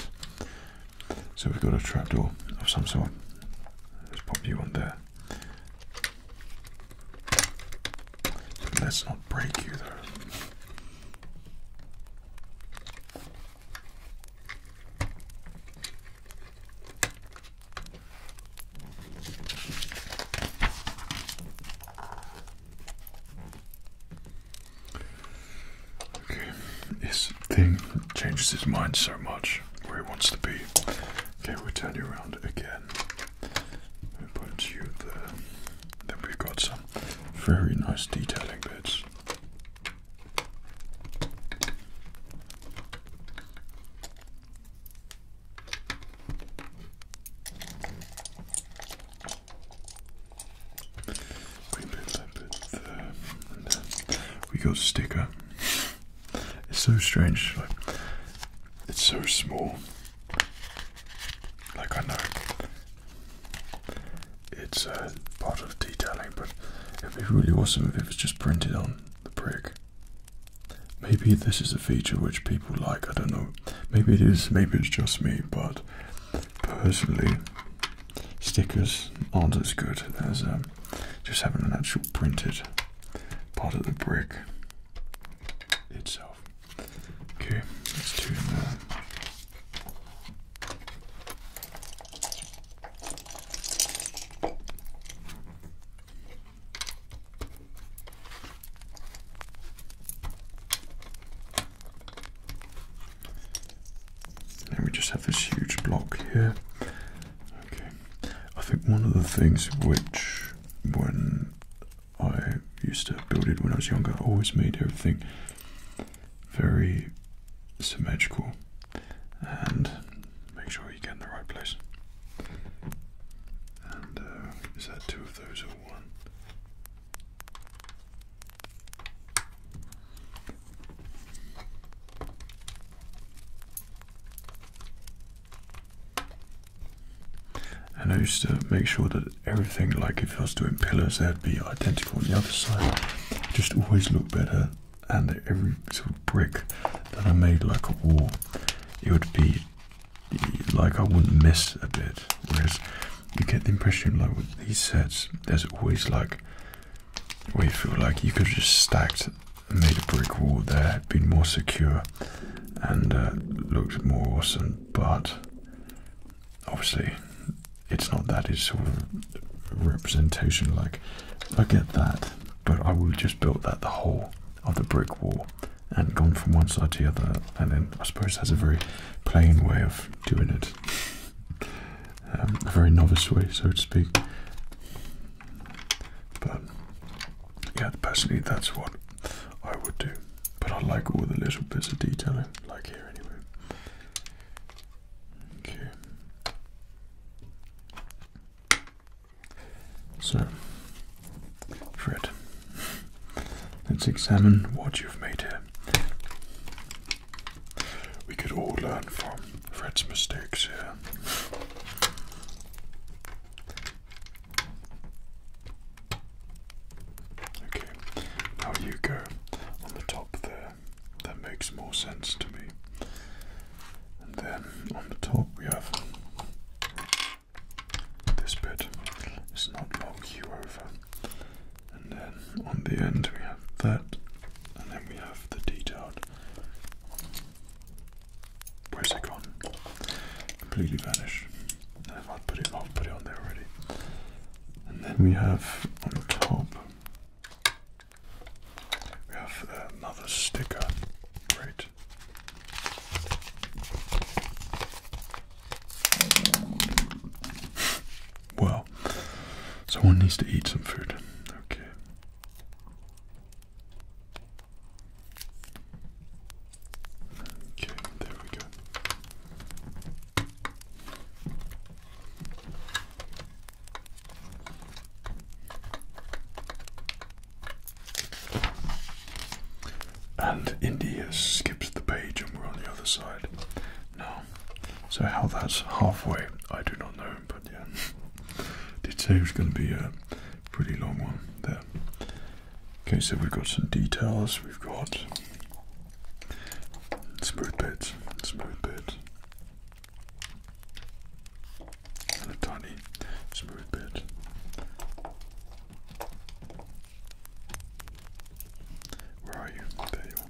Speaker 1: So we've got a trapdoor of some sort. Let's pop you on there. Let's not break you though. Okay, this thing changes his mind so much where he wants to be. Okay, we turn you around again. we put you there. Then we've got some very nice detailing bits. We put that bit we got sticker. It's so strange. it's so small. Like I know it's uh, part of detailing, but it'd be really awesome if it was just printed on the brick. Maybe this is a feature which people like. I don't know. Maybe it is. Maybe it's just me, but personally, stickers aren't as good as um, just having an actual printed part of the brick itself. Okay, let's do that. And we just have this huge block here Okay, I think one of the things which when I used to build it when I was younger, I always made everything very symmetrical and make sure you get in the right place. And uh, is that two of those or one? And I used to make sure that everything, like if I was doing pillars, they'd be identical on the other side. Just always look better. And every sort of brick that I made, like a wall, it would be like I wouldn't miss a bit. Whereas you get the impression, like with these sets, there's always like where you feel like you could have just stacked made a brick wall there been more secure and uh, looked more awesome, but obviously it's not that. It's sort of representation. Like I get that, but I would just built that the whole of the brick wall and gone from one side to the other. And then I suppose that's a very plain way of doing it, um, a very novice way, so to speak. But yeah, personally, that's what I would do. But I like all the little bits of detailing, like here anyway. Okay. So, Fred, let's examine what you've made here. We could all learn from Fred's mistakes Yeah.
Speaker 2: Okay, now you go on the top there. That makes more sense to me. And then on the top we
Speaker 1: have this bit. It's not long you over. And then on the end we have that. And then we have the detailed Where's it gone? Completely vanished. I put it, i put it on there already. And then we have on top, we have uh, another sticker. Great. Well, someone needs to eat some food. Okay. Okay, there we go. And India skips the page and we're on the other side now. So how that's halfway, I do not know but yeah, did say it going to be a pretty long one there. Okay, so we've got some details. We've got smooth bits, smooth bits, and a tiny smooth bit. Where are you? There you are.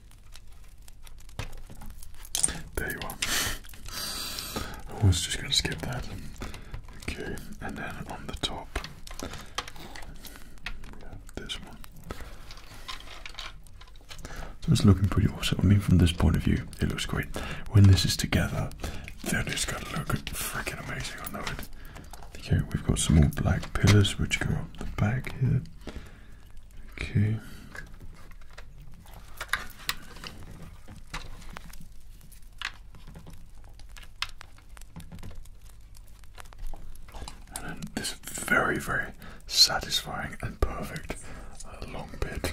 Speaker 1: There you are. I was just going to skip that. Okay, and then on the top, this one. So it's looking pretty awesome. I mean, from this point of view, it looks great. When this is together, then it's going to look freaking amazing. I know it. Okay, we've got some more black pillars which go up the back here. Okay. And then this very, very satisfying and perfect uh, long bit.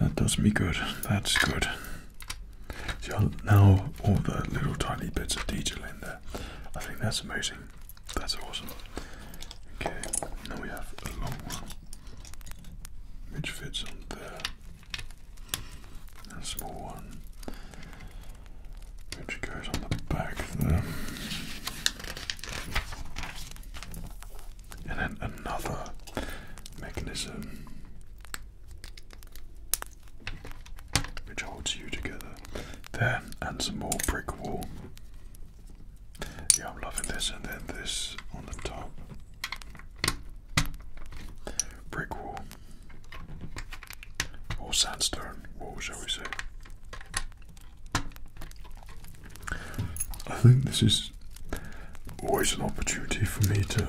Speaker 1: That does me good. That's good. So now all the little tiny bits of detail in there. I think that's amazing. That's awesome. Okay, now we have a long one which fits on there. small one which goes on the back there. And then another mechanism which holds you together. There, and some more brick wall. Yeah, I'm loving this, and then this on the top. Brick wall. Or sandstone wall, shall we say. I think this is always an opportunity for me to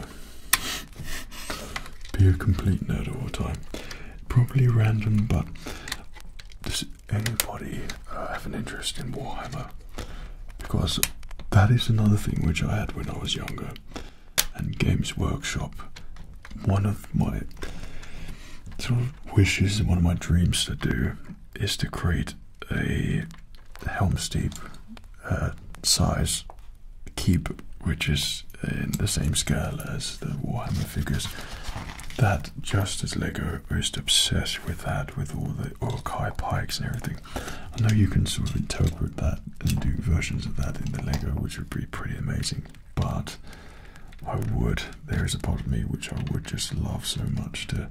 Speaker 1: be a complete nerd all the time. Probably random, but does anybody uh, have an interest in Warhammer? Because that is another thing which I had when I was younger. And Games Workshop, one of my sort of wishes and one of my dreams to do is to create a Helm's Deep uh, size keep, which is in the same scale as the Warhammer figures. That just as Lego is obsessed with that, with all the Orkai pikes and everything. I know you can sort of interpret that and do versions of that in the Lego, which would be pretty amazing. But I would. There is a part of me which I would just love so much to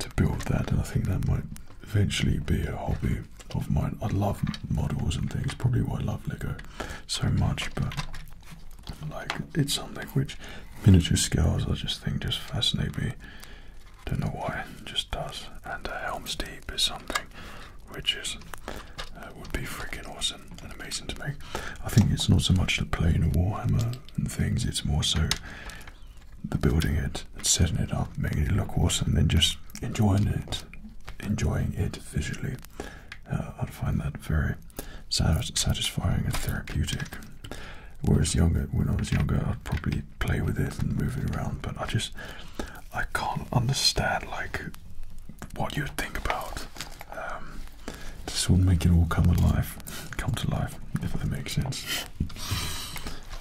Speaker 1: to build that, and I think that might eventually be a hobby of mine. I love models and things, probably why I love Lego so much, but like it's something which miniature scales I just think just fascinate me. Don't know why, it just does. And uh, Helm's Deep is something which is uh, would be freaking awesome and amazing to make. I think it's not so much the playing of Warhammer and things, it's more so the building it and setting it up, making it look awesome, and then just enjoying it, enjoying it visually. Uh, I'd find that very satisfying and therapeutic. Whereas younger, when I was younger, I'd probably play with it and move it around. But I just, I can't understand like what you'd think about um, to sort make it all come alive, come to life, if that makes sense.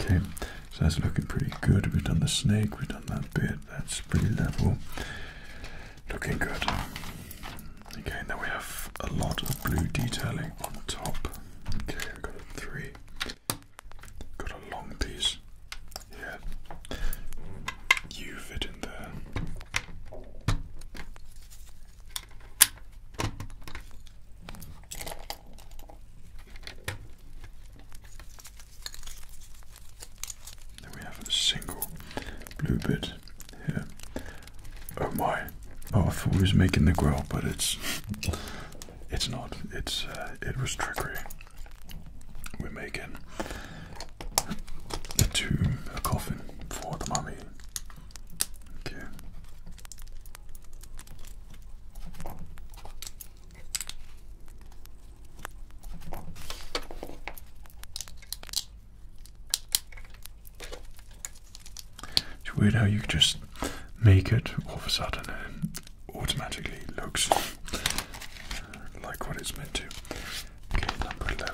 Speaker 1: okay, so that's looking pretty good. We've done the snake, we've done that bit. That's pretty level. Looking good. Okay, now we have a lot of blue detailing on top. Okay, got three. Got a long piece. Yeah. You fit in there. Then we have a single blue bit here. Oh my! Oh, I thought we was making the grill, but it's it's not. It's uh, it was trickery. We're making the tomb, a coffin for the mummy. Okay. It's weird how you just make it all of a sudden and it automatically looks uh, like what it's meant to. Okay, number 11.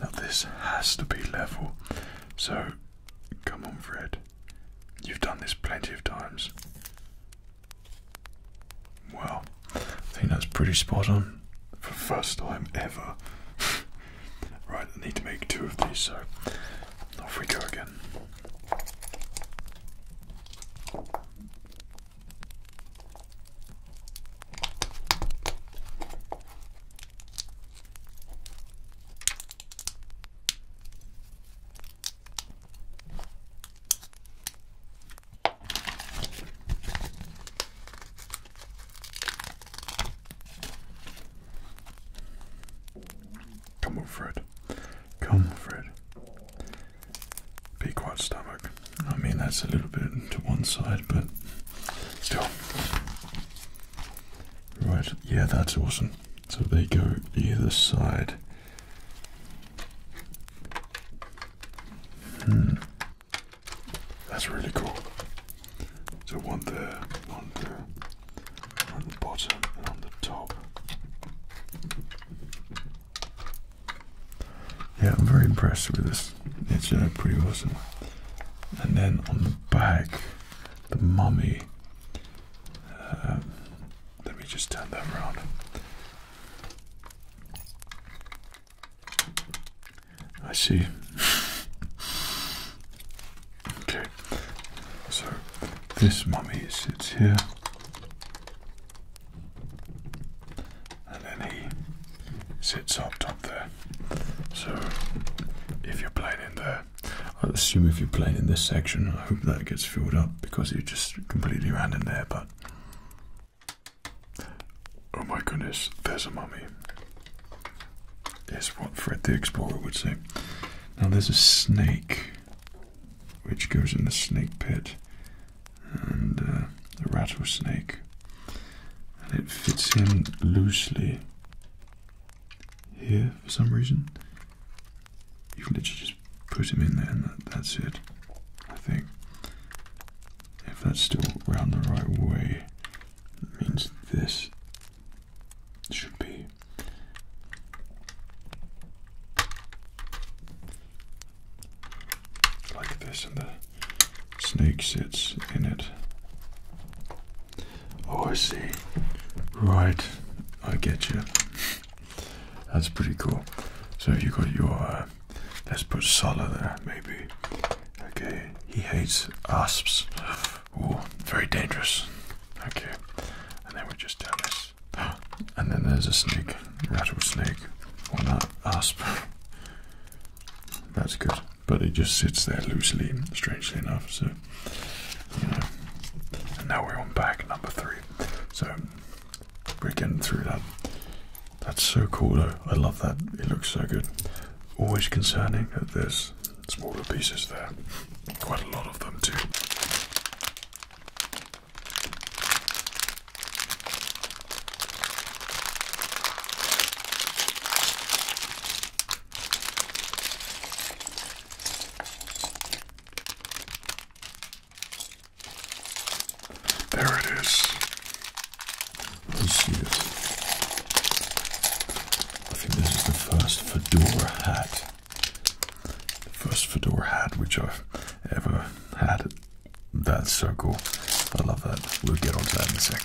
Speaker 1: Now this has to be level, so come on Fred. You've done this plenty of times. Well, I think that's pretty spot on for the first time ever. right, I need to make two of these, so off we go again. Come on, Fred. Come, Fred. Be quite stomach. I mean, that's a little bit to one side, but still. Right, yeah, that's awesome. So they go either side. Hmm. That's really cool. So one there, one there, on the bottom and on the top. Yeah, I'm very impressed with this. It's pretty awesome. And then on the back, the mummy um, let me just turn that around. I see. okay. So this mummy sits here. And then he sits up top there. So if you're playing in the I assume if you're playing in this section, I hope that gets filled up because you just completely ran in there. But oh my goodness, there's a mummy. Is what Fred the Explorer would say. Now there's a snake, which goes in the snake pit, and uh, a rattlesnake, and it fits in loosely here for some reason. You can literally just put him in there and that's it, I think. If that's still round the right way, that means this should be. Like this, and the snake sits in it. Oh, I see. Right, I get you. That's pretty cool. So you got your. Uh, let's put Salah there, maybe. Okay, he hates asps. Oh, very dangerous. Okay, and then we just down this. And then there's a snake, rattlesnake, Why not asp. That's good, but it just sits there loosely, strangely enough. So you know, now we're on bag number three. So we're getting through that. That's so cool though. I love that. It looks so good. Always concerning that there's smaller pieces there. Quite a lot of them too. There it is. You see it. I think this is the first fedora hat. The first fedora hat which I've ever had. That circle. I love that. We'll get onto that in a sec.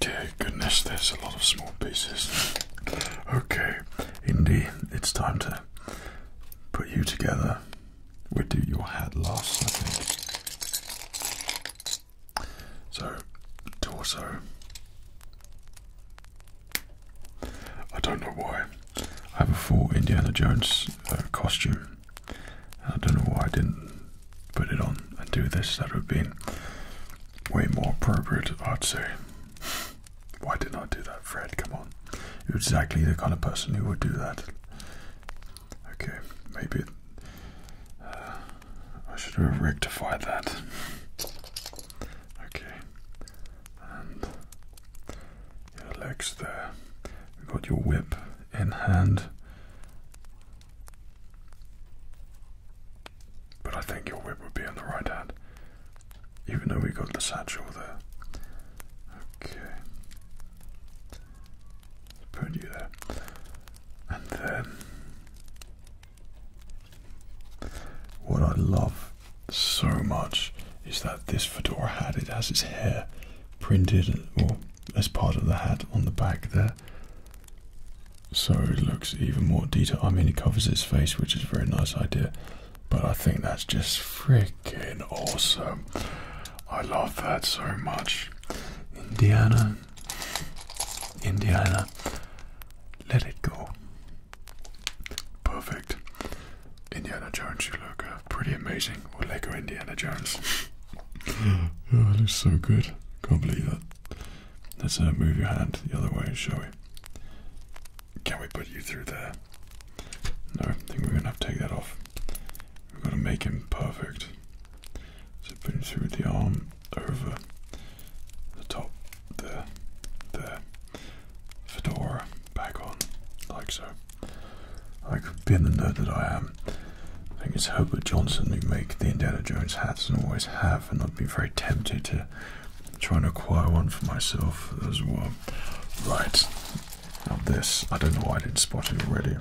Speaker 1: Dear goodness, there's a lot of small pieces. Okay, Indy, it's time to put you together. we do your hat last, I think. So, torso. I don't know why. I have a full Indiana Jones uh, costume I don't know why I didn't put it on and do this. That would have been way more appropriate, I'd say. Why didn't I do that, Fred? Come on. You're exactly the kind of person who would do that. Okay, maybe uh, I should have rectified that. okay, your legs there. got your whip in hand. But I think your whip would be on the right hand, even though we got the satchel there. Okay. Put you there. And then. What I love so much is that this fedora hat, it has its hair printed or as part of the hat on the back there so it looks even more detailed. I mean, it covers his face, which is a very nice idea, but I think that's just freaking awesome. I love that so much. Indiana, Indiana, let it go. Perfect. Indiana Jones, you look uh, pretty amazing. Or Lego Indiana Jones. oh, it looks so good. Can't believe that Let's uh, move your hand the other way, shall we? Can we put you through there? No, I think we're going to have to take that off. We've got to make him perfect. So put him through the arm, over the top, there, there. Fedora back on, like so. Like being the nerd that I am. I think it's Herbert Johnson who make the Indiana Jones hats and always have, and I've been very tempted to try and acquire one for myself as well. Right, now this, I don't know why I didn't spot it already.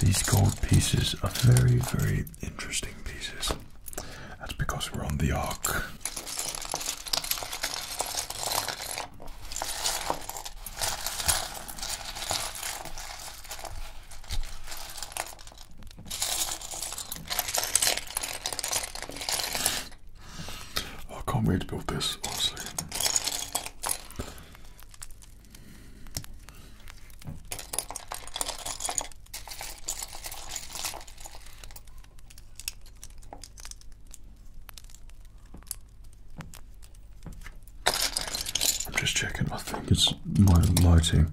Speaker 1: These gold pieces are very, very interesting pieces. That's because we're on the Ark. Oh, I can't wait to build this, honestly. I'm just checking, I think it's my lighting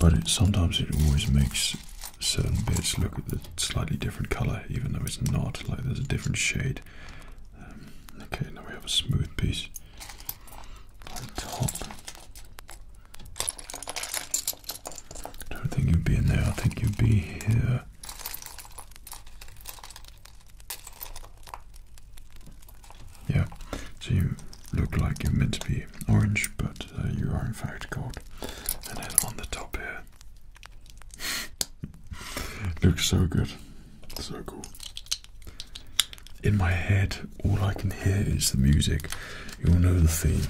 Speaker 1: but sometimes it always makes certain bits look a slightly different color, even though it's not. Like there's a different shade. Um, okay, now we have a smooth piece on top. don't think you'd be in there. I think you'd be here. Yeah, so you look like you're meant to be orange, but uh, you are in fact gold. And then on the top here, looks so good, so cool. In my head, all I can hear is the music. You will know the theme.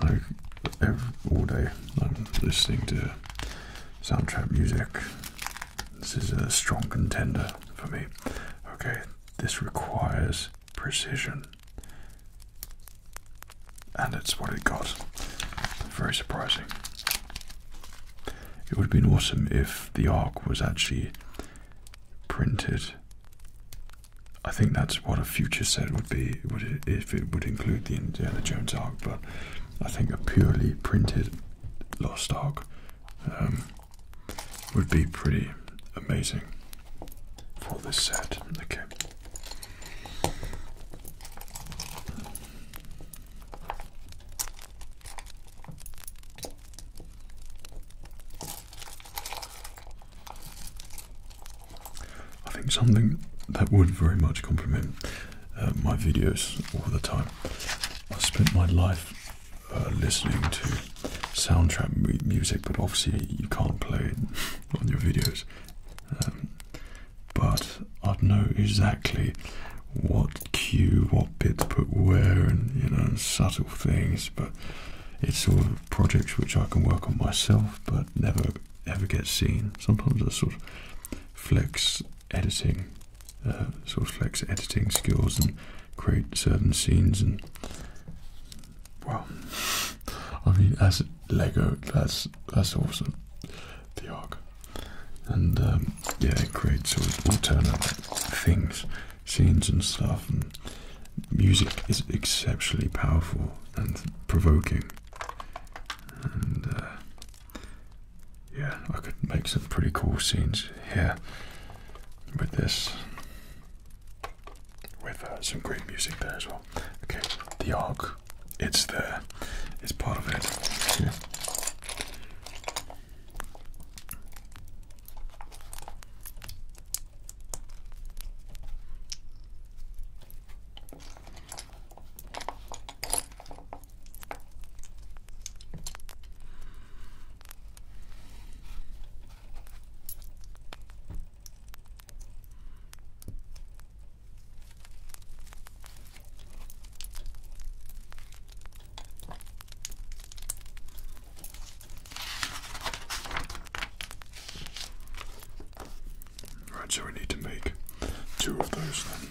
Speaker 1: Like all day, I'm listening to soundtrack music. This is a strong contender for me. Okay, this requires precision. And it's what it got. Very surprising. It would have been awesome if the arc was actually printed. I think that's what a future set would be, would if it would include the Indiana Jones arc, but I think a purely printed Lost Ark um, would be pretty amazing for this set. Okay. I think something that would very much complement uh, my videos all the time. I spent my life uh, listening to soundtrack music, but obviously you can't play it on your videos. Um, but I'd know exactly what cue, what bit to put where, and you know, subtle things. But it's sort of projects which I can work on myself, but never ever get seen. Sometimes I sort of flex editing, uh, sort of flex editing skills and create certain scenes and well I mean as a Lego that's that's awesome the arc and um, yeah it creates sort of alternate things scenes and stuff and music is exceptionally powerful and provoking and uh, yeah I could make some pretty cool scenes here with this, with uh, some great music there as well. Okay, the arc, it's there, it's part of it. Right, so we need to make two of those then.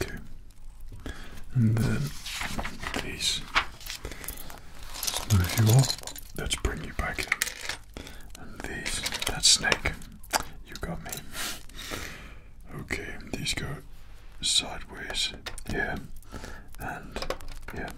Speaker 2: Okay. And then
Speaker 1: these. Let's move you off. Let's bring you back in. And these. That snake. You got me. Okay, these go sideways here and here.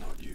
Speaker 1: Not you.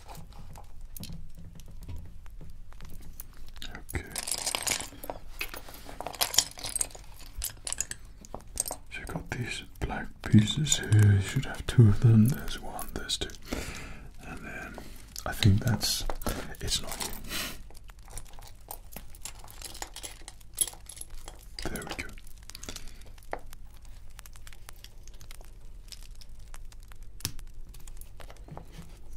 Speaker 1: Okay. So you got these black pieces here. You should have two of them. There's one. There's two. And then I think that's. It's not. There we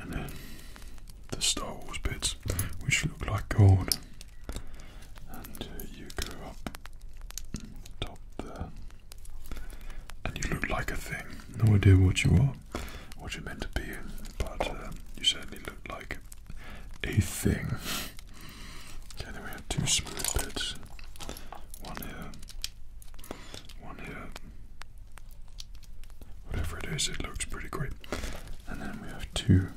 Speaker 1: and then the Star Wars bits, which look like gold, and uh, you go up top there, and you look like a thing. No idea what you are, what you're meant to be, but um, you certainly look like a thing. Okay, then we have two smooth bits, one here, one here, whatever it is, it looks pretty great. And then we have two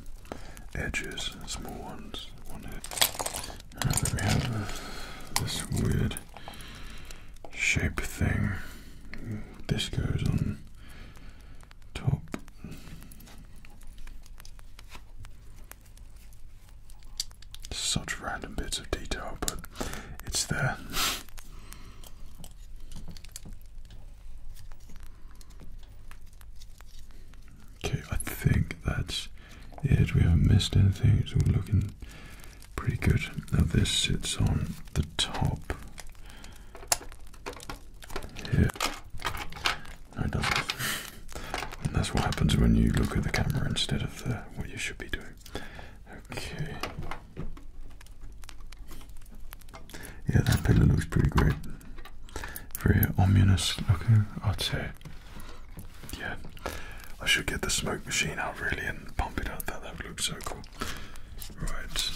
Speaker 1: edges, small ones, one edge. then we have this weird shape thing. This goes on top. Such random bits of detail, but it's there. Okay, I think that's it. We haven't missed anything. It's all looking pretty good. Now this sits on the top here. No, it that's what happens when you look at the camera instead of uh, what you should be doing. Okay. Yeah, that pillar looks pretty great. Very ominous looking, I'd say. Yeah, I should get the smoke machine out really and pump it out. That that would look so cool. Right.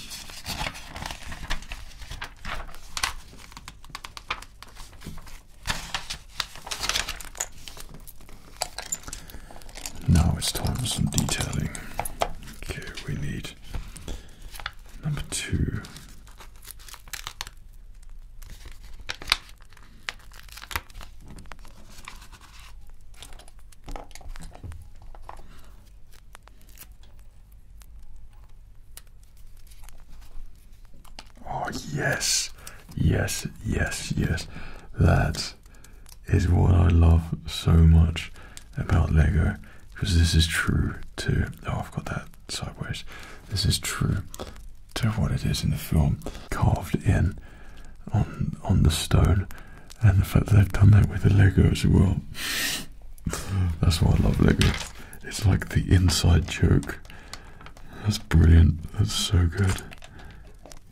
Speaker 1: Now it's time for some detailing. Okay, we need Number two. Oh, yes, yes, yes, yes. That is what I love so much about Lego because this is true too. oh I've got that sideways. This is true to what it is in the film, carved in on on the stone, and the fact that they've done that with a Lego as well. That's why I love Lego. It's like the inside joke. That's brilliant. That's so good.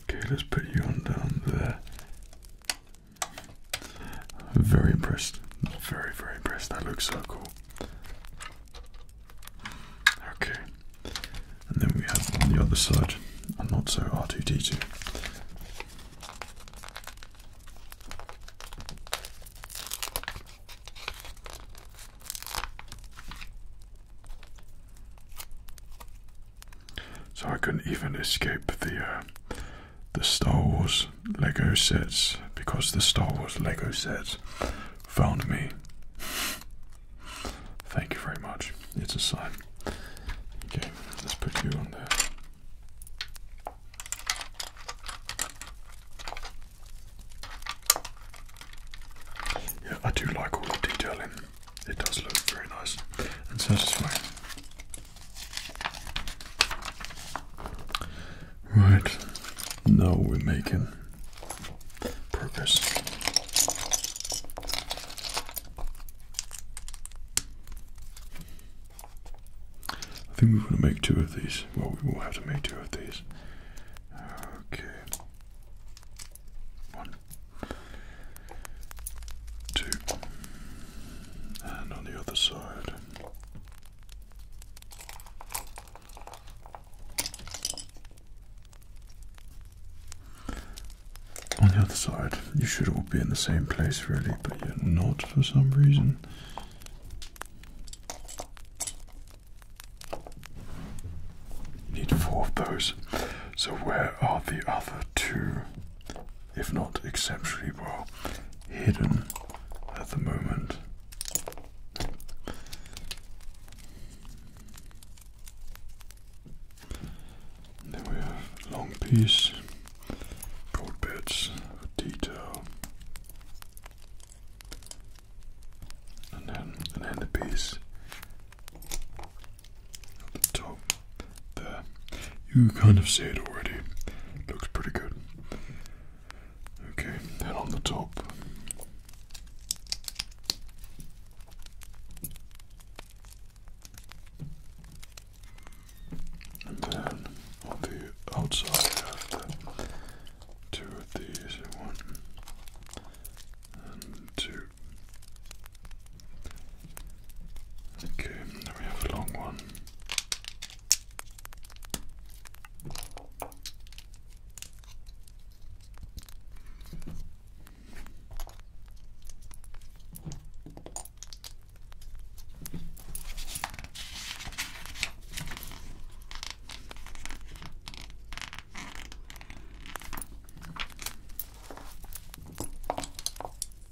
Speaker 1: Okay, let's put you on down there. Very impressed. Very, very impressed. That looks so cool. Okay. And then we have on the other side a not so R2D2. So I couldn't even escape the uh, the Star Wars Lego sets because the Star Wars Lego sets found me. Thank you very much. It's a sign. Okay, let's put you on there. Yeah, I do like all the detailing. It does look very nice and satisfying. Right, now we're making progress. I think we're going to make two of these. Well, we will have to make two of these. Okay. One, two, and on the other side. On the other side, you should all be in the same place really, but you're not for some reason. need four of those. So, where are the other two? if not exceptionally well hidden at the moment. then we have long piece, broad bits detail, and then an end piece top. You kind of see it already. Looks pretty good. Okay, then on the top. And then on the outside, two of these one and two. Okay, then we have a long one.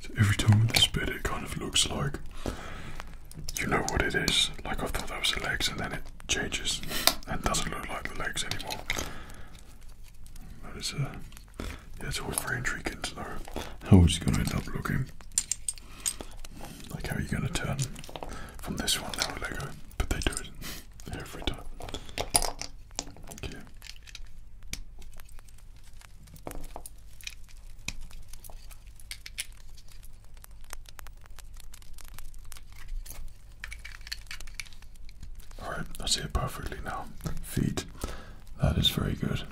Speaker 1: So every time with the spit, it kind of looks like you know what it is. Like I thought that was the legs, and then it changes and doesn't look like the legs anymore. That is, uh, yeah, it's always very intriguing to How is how going to end up looking. Like, how are you going to turn from this one now, Lego? But they do it every time. Okay. Alright, I see it perfectly now. Feet. That is very good.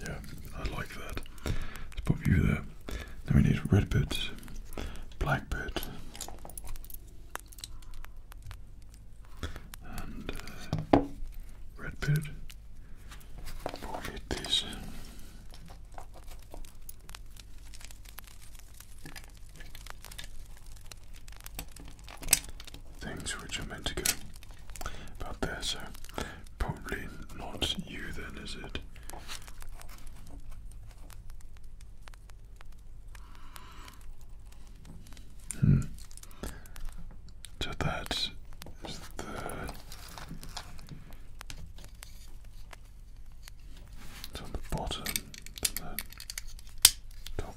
Speaker 1: Yeah, I like that. Let's pop you there. Then we need red bird, black bird, and uh, red bird. Oh, we these
Speaker 2: things which are meant to go about there, so probably not you then, is it? Hmm. that is the it's the bottom, to the top.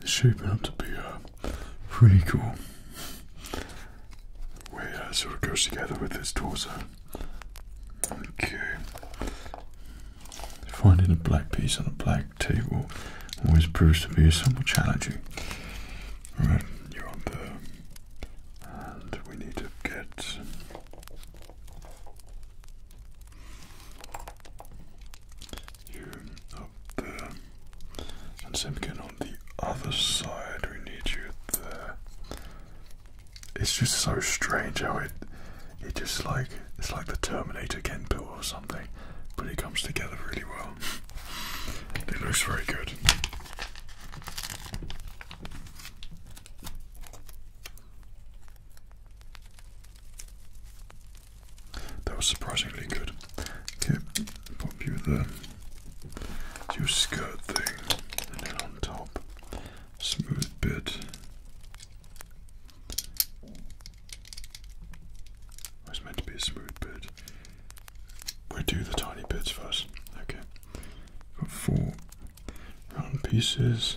Speaker 1: It's shaping up to be uh, pretty cool. way it sort of goes together with this torso. Okay. Finding a black piece on a black table always proves to be a somewhat challenging. Alright, you're on there. And we need to get
Speaker 2: you up there. And same again on the other side, we
Speaker 1: need you there. It's just so strange how it it just like it's like the Terminator getting built or something, but it comes together really well. it looks very good. That was surprisingly good. Okay, pop you there. Your skirt thing, and then on top, smooth bit. Was oh, meant to be a smooth bit. We do the tiny bits first. Okay, got four round pieces.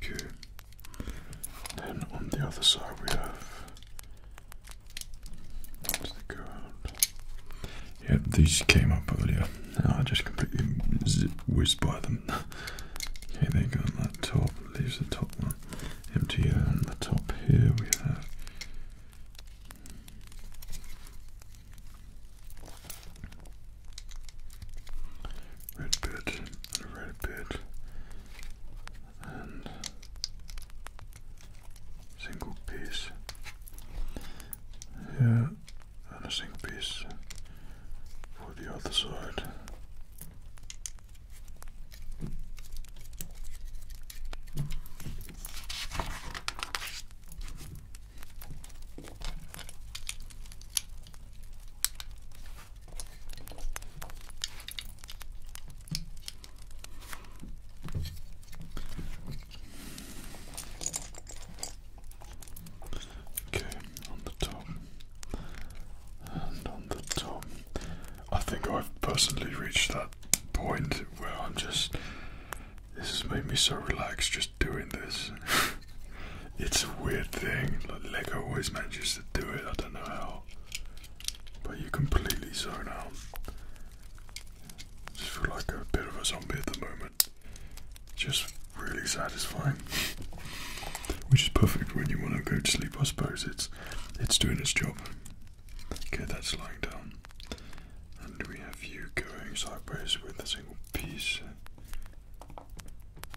Speaker 1: Okay. Then on the other side we have. Where's they go Yeah, these came up earlier. Now I just completely zip whizzed by them. okay, there they go that top, leaves the top one empty. And on the top here we have red bit and a red bit and single piece Yeah, and a single piece for the other side. Okay, on the top. And on the top. I think I've personally reached that point where I'm just. This has made me so relaxed just doing this. It's a weird thing. Lego always manages to do it. I don't know how, but you are completely zoned out. Just feel like a bit of a zombie at the moment. Just really satisfying, which is perfect when you want to go to sleep. I suppose it's it's doing its job. Okay, that's lying down, and we have you going sideways with a single piece.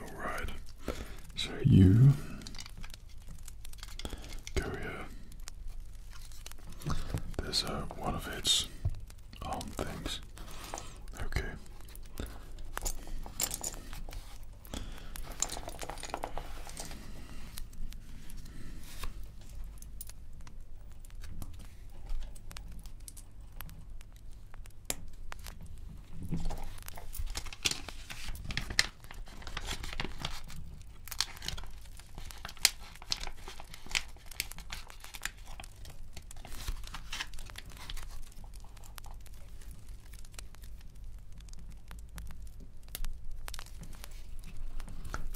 Speaker 1: All right. So you go There's uh, one of its arm things. Okay.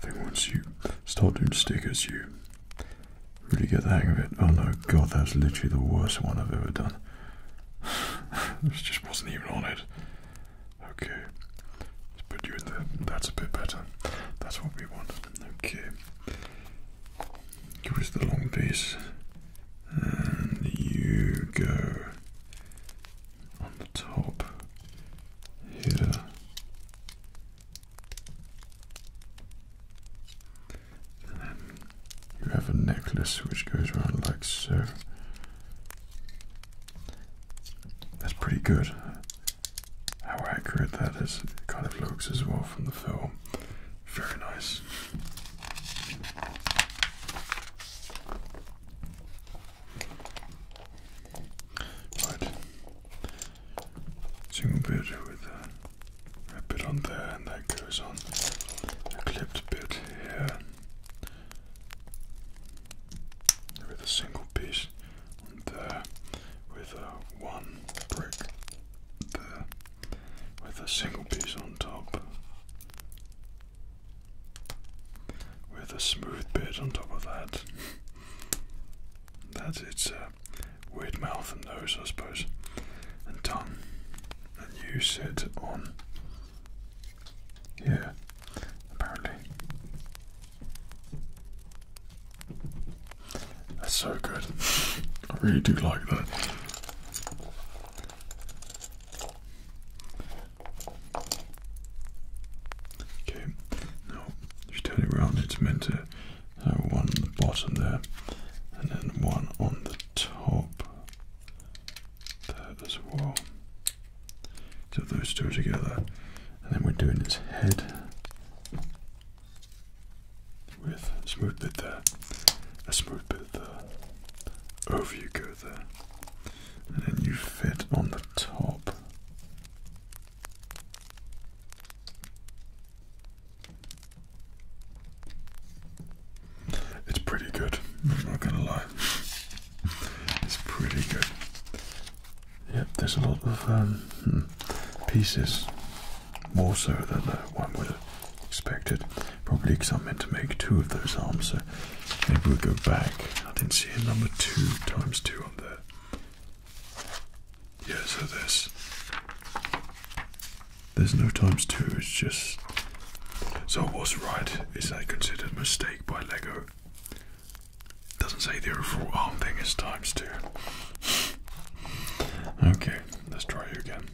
Speaker 1: I think once you start doing stickers, you really get the hang of it. Oh no, god, that was literally the worst one I've ever done. it just wasn't even on it. Okay, put you in there. That's a bit better. That's what we want. Okay, give us the long piece, and you go on the top here. then you have a necklace which goes around like so. That's pretty good. How accurate that is, it kind of looks as well from the film. Very nice. Right. Single bit with a bit on there, and that goes on a clipped bit here with a single piece there, with a one brick there, with a single piece on top, with a smooth bit on top of that. That's its a weird mouth and nose, I suppose, and tongue. And you sit on yeah, apparently. That's so good. I really do like that. Okay, now if you turn it around, it's meant to have one on the bottom there and then one on the top that as well. So those two together, and then we're doing its head with a smooth bit there, a smooth bit there. Over you go there, and then you fit on the top. It's pretty good, I'm not gonna lie. It's pretty good. Yep, there's a lot of um, hmm, pieces, more so than that one would have expected. Probably because I'm meant to make two of those arms, so maybe we'll go back. I didn't see a number two times two on there. Yeah, so this. There's no times two, it's just. So I was right. Is that considered a mistake by Lego? doesn't say the overall arm thing is times two. Okay, let's try you again.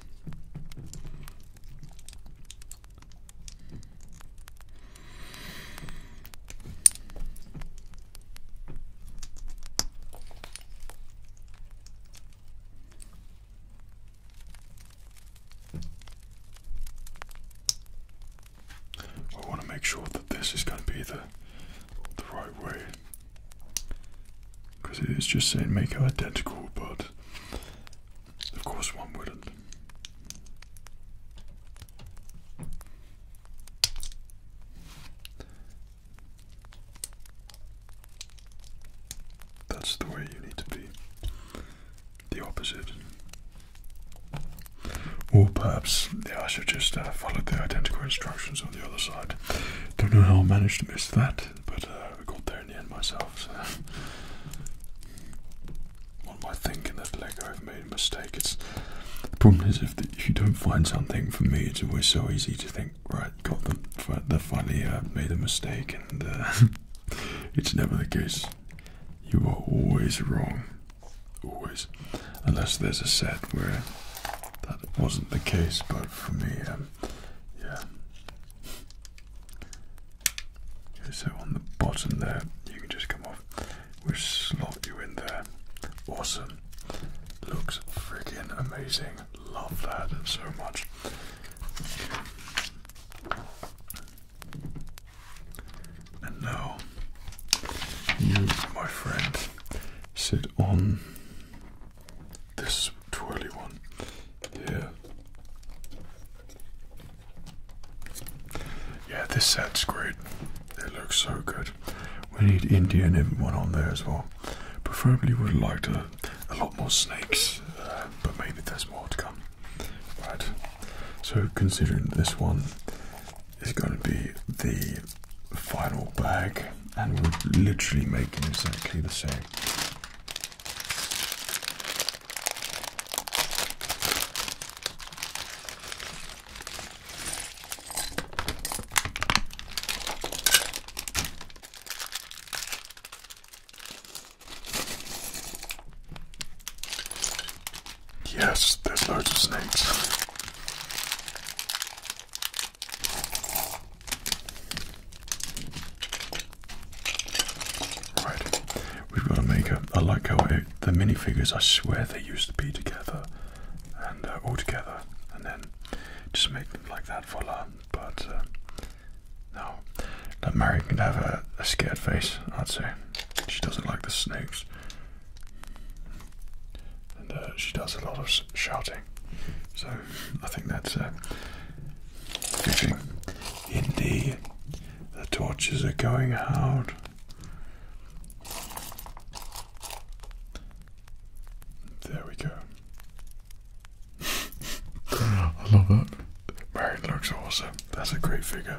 Speaker 1: I want to make sure that this is going to be the the right way because it is just saying make it identical, but of course one wouldn't. That's the way you need to be the opposite. Or perhaps yeah, I should just uh, followed the identical instructions on the other side. Don't know how I managed to miss that, but uh, I got there in the end myself. So. One might think in that Lego i made a mistake. the problem is if, you don't find something, for me it's always so easy to think, right, got them, they finally uh, made a mistake, and it's never the case. You are always wrong always, unless there's a set where that wasn't the case. But for me, um, yeah. so on the bottom there, you can just come off. We'll slot you in there. Awesome. Looks freaking amazing. Love that so much. And now you, my friend, sit on this twirly one here. Yeah, this set's great. It looks so good. We need Indian everyone on there as well. Preferably would like a lot more snakes, uh, but maybe there's more to come. Right, so considering this one is going to be the final bag, and we're literally making exactly the same. Yes, there's loads of snakes. Right, we've got to make a. I like how the minifigures, I swear they used to be together and uh, all together, and then just make
Speaker 2: like that Voila! But uh, no, that Mary can have a
Speaker 1: scared face, I'd say. She doesn't like the snakes. And uh, she does a lot of shouting. So I think that's uh, fishing. Indeed, the torches are going out. There we go.
Speaker 2: I love that.
Speaker 1: Marion looks awesome. That's a great figure.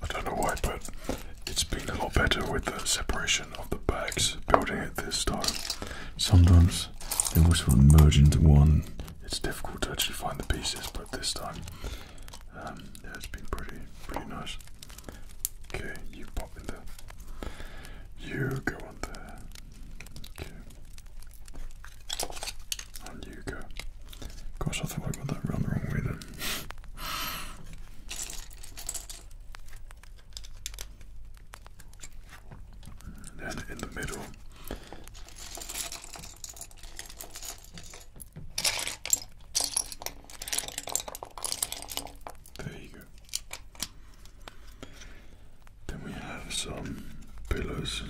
Speaker 1: I don't know why, but it's been a lot better with the separation of the bags building it this time. Sometimes they all sort of merge into one. It's difficult to actually find the pieces, but this time um, yeah, it's been pretty, pretty nice. Okay, you pop in there. You go on there. Okay. And you go. Gosh, I thought I got that round the wrong way then. then in the middle. There you go. Then we have some pillows.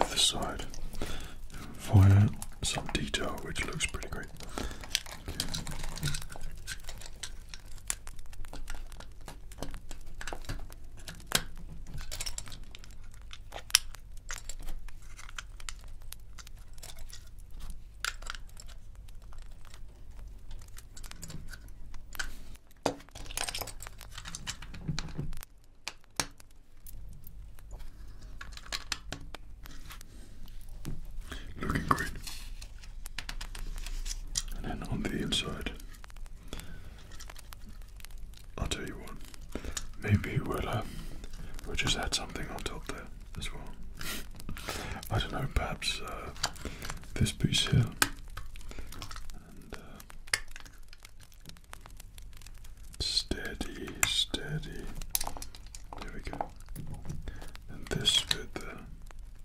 Speaker 1: Other side via some detail which looks pretty great. Looking great. And then on the inside, I'll tell you what, maybe we'll, uh, we'll just add something on top there as well. I don't know, perhaps uh, this piece here. Uh, steady, steady. There we go. And this bit there.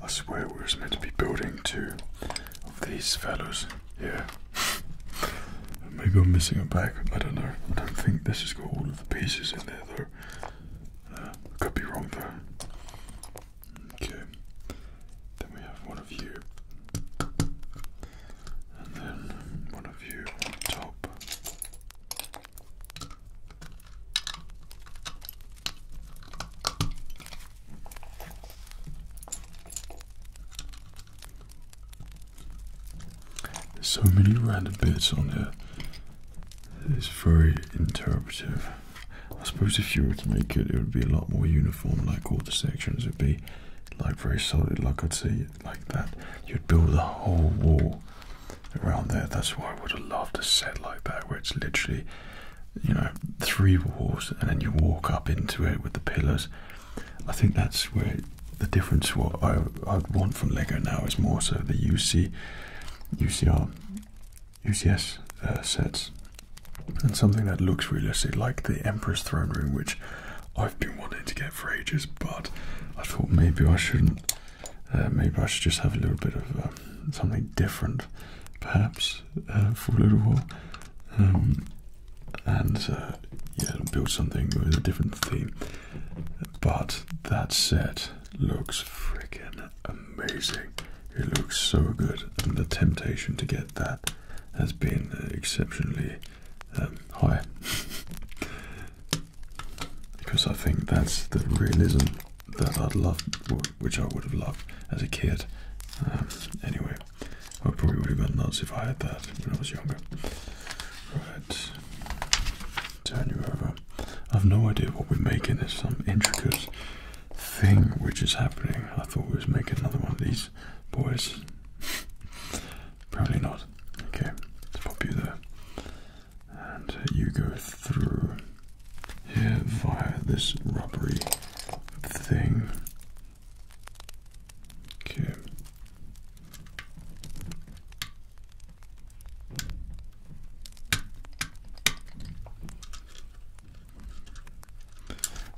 Speaker 1: I swear we are meant to be building two of these fellows here. Maybe I'm missing a back, I don't know. I don't think this has got all of the pieces in there though. Uh, could be wrong though. Okay. Then we have one of you. And then one of you on top so many random bits on there. It's very interpretive. I suppose if you were to make it, it would be a lot more uniform, like all the sections would be like very solid, like I'd say, like that. You'd build a whole wall around there. That's why I would have loved a set like that, where it's literally, you know, three walls and then you walk up into it with the pillars. I think that's where the difference, what I, I'd want from Lego now is more so that you see UCR, UCS uh, sets, and something that looks realistic, like the Emperor's Throne Room, which I've been wanting to get for ages, but I thought maybe I shouldn't. Uh, maybe I should just have a little bit of um, something different, perhaps, uh, for a little while. Um, and yeah, build something with a different theme. But that's it looks freaking amazing. It looks so good, and the temptation to get that has been exceptionally um, high because I think that's the realism that I'd love, which I would have loved as a kid. Um, anyway, I probably would have gone nuts if I had that when I was younger. Turn you over. I've no idea what we're making. There's some intricate thing which is happening. I thought we was making another one of these boys. Probably not. Okay, let's pop you there. And you go through here via this rubbery thing. Okay.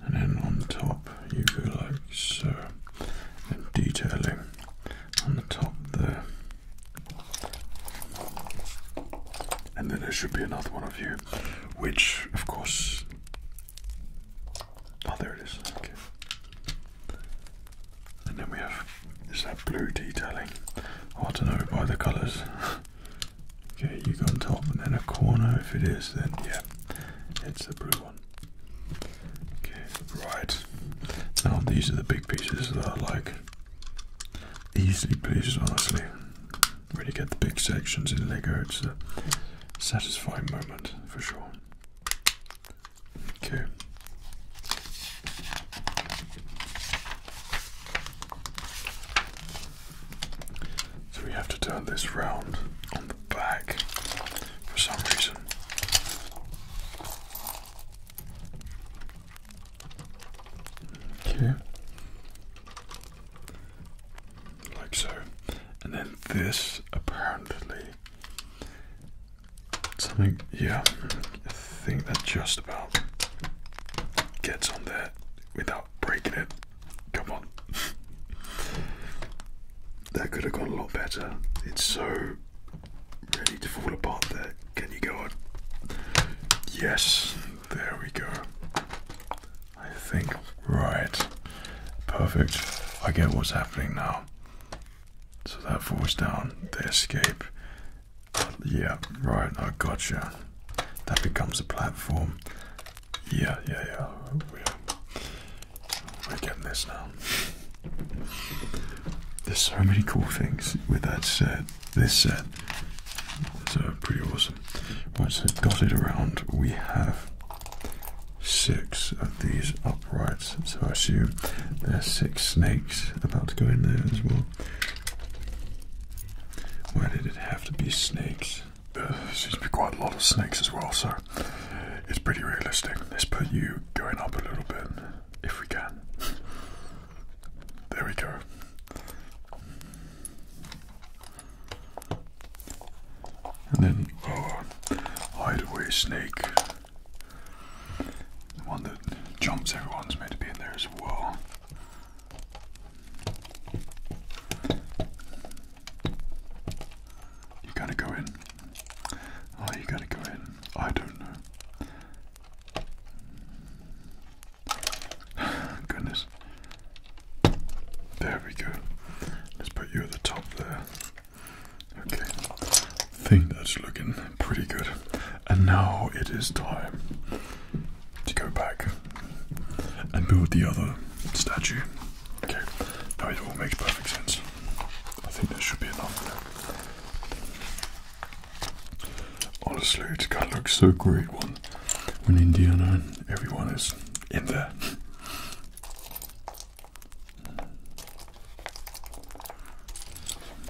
Speaker 1: And then on top, you go like so, detailing on the top there. And then there should be another one of you, which, of course, oh, there it is. And then we have is that blue detailing? Oh, I don't know by the colours. okay, you go on top and then a corner. If it is, then yeah, it's the blue one. Okay, right. Now these are the big pieces that I like. Easily pleases, honestly. Really get the big sections in Lego. It's a satisfying moment for sure. Okay, so we
Speaker 2: have to turn this round on the back for some reason. Okay.
Speaker 1: Like so. And then this apparently something yeah I think that just about gets on there without breaking it come on that could have gone a lot better it's so ready to fall apart there can you go on yes there we go I think right perfect I get what's happening now so that falls down they escape yeah, right, I gotcha. That becomes a platform. Yeah, yeah, yeah. We're, getting this now. There's so many cool things with that set, this set. So uh, pretty awesome. Once I've got it around, we have six of these uprights. So I assume there's six snakes about to go in there as well. Why did it have to be snakes? There uh, seems to be quite a lot of snakes as well, so it's pretty realistic. Let's put you going up a little bit, if we can. There we go. And then our oh, hideaway snake. The one that jumps everyone's meant to be in there as well. You gotta go in. Oh, you gotta go in. I don't know. Goodness. There we go. Let's put you at the top there. Okay. I think that's looking Pretty good. And now it is time to go back and build the other statue. Okay, now it all makes perfect sense. I think there should be enough Honestly, it's gonna look so great when, when Indiana and everyone is in there.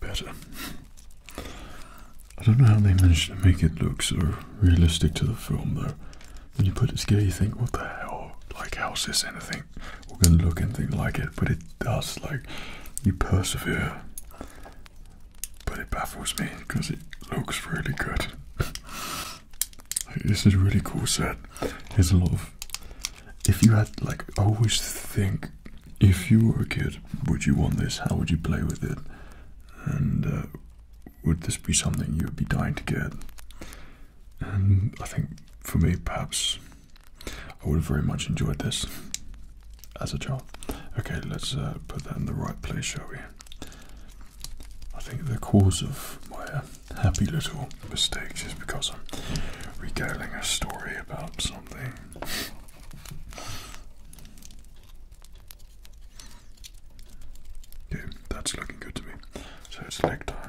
Speaker 1: Better. I don't know how they managed to make it look so realistic to the film, though. When you put it's gay, you think, what the hell? Like, how's this anything? or can look and think like it, but it does. Like, you persevere. But it baffles me because it looks really good. this is really cool set. It's a lot of. If you had, like, I always think if you were a kid, would you want this? How would you play with it? And uh, would this be something you would be dying to get? And I think for me, perhaps I would have very much enjoyed this as a child. Okay, let's uh, put that in the right place, shall we? I think the cause of my uh, happy little mistakes is because I'm regaling a story about something. Okay, that's looking good to me. So it's leg time.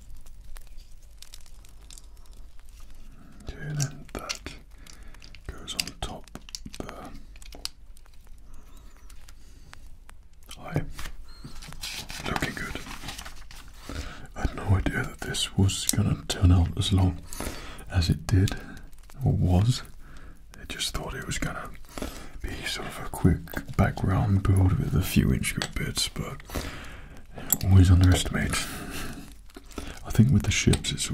Speaker 1: Okay, then that goes on top Hi. Looking good. I had no idea that this was gonna turn out as long as it did, or was. I just thought it was gonna be sort of a quick background build with a few intricate bits, but always underestimate. I think with the ships, it's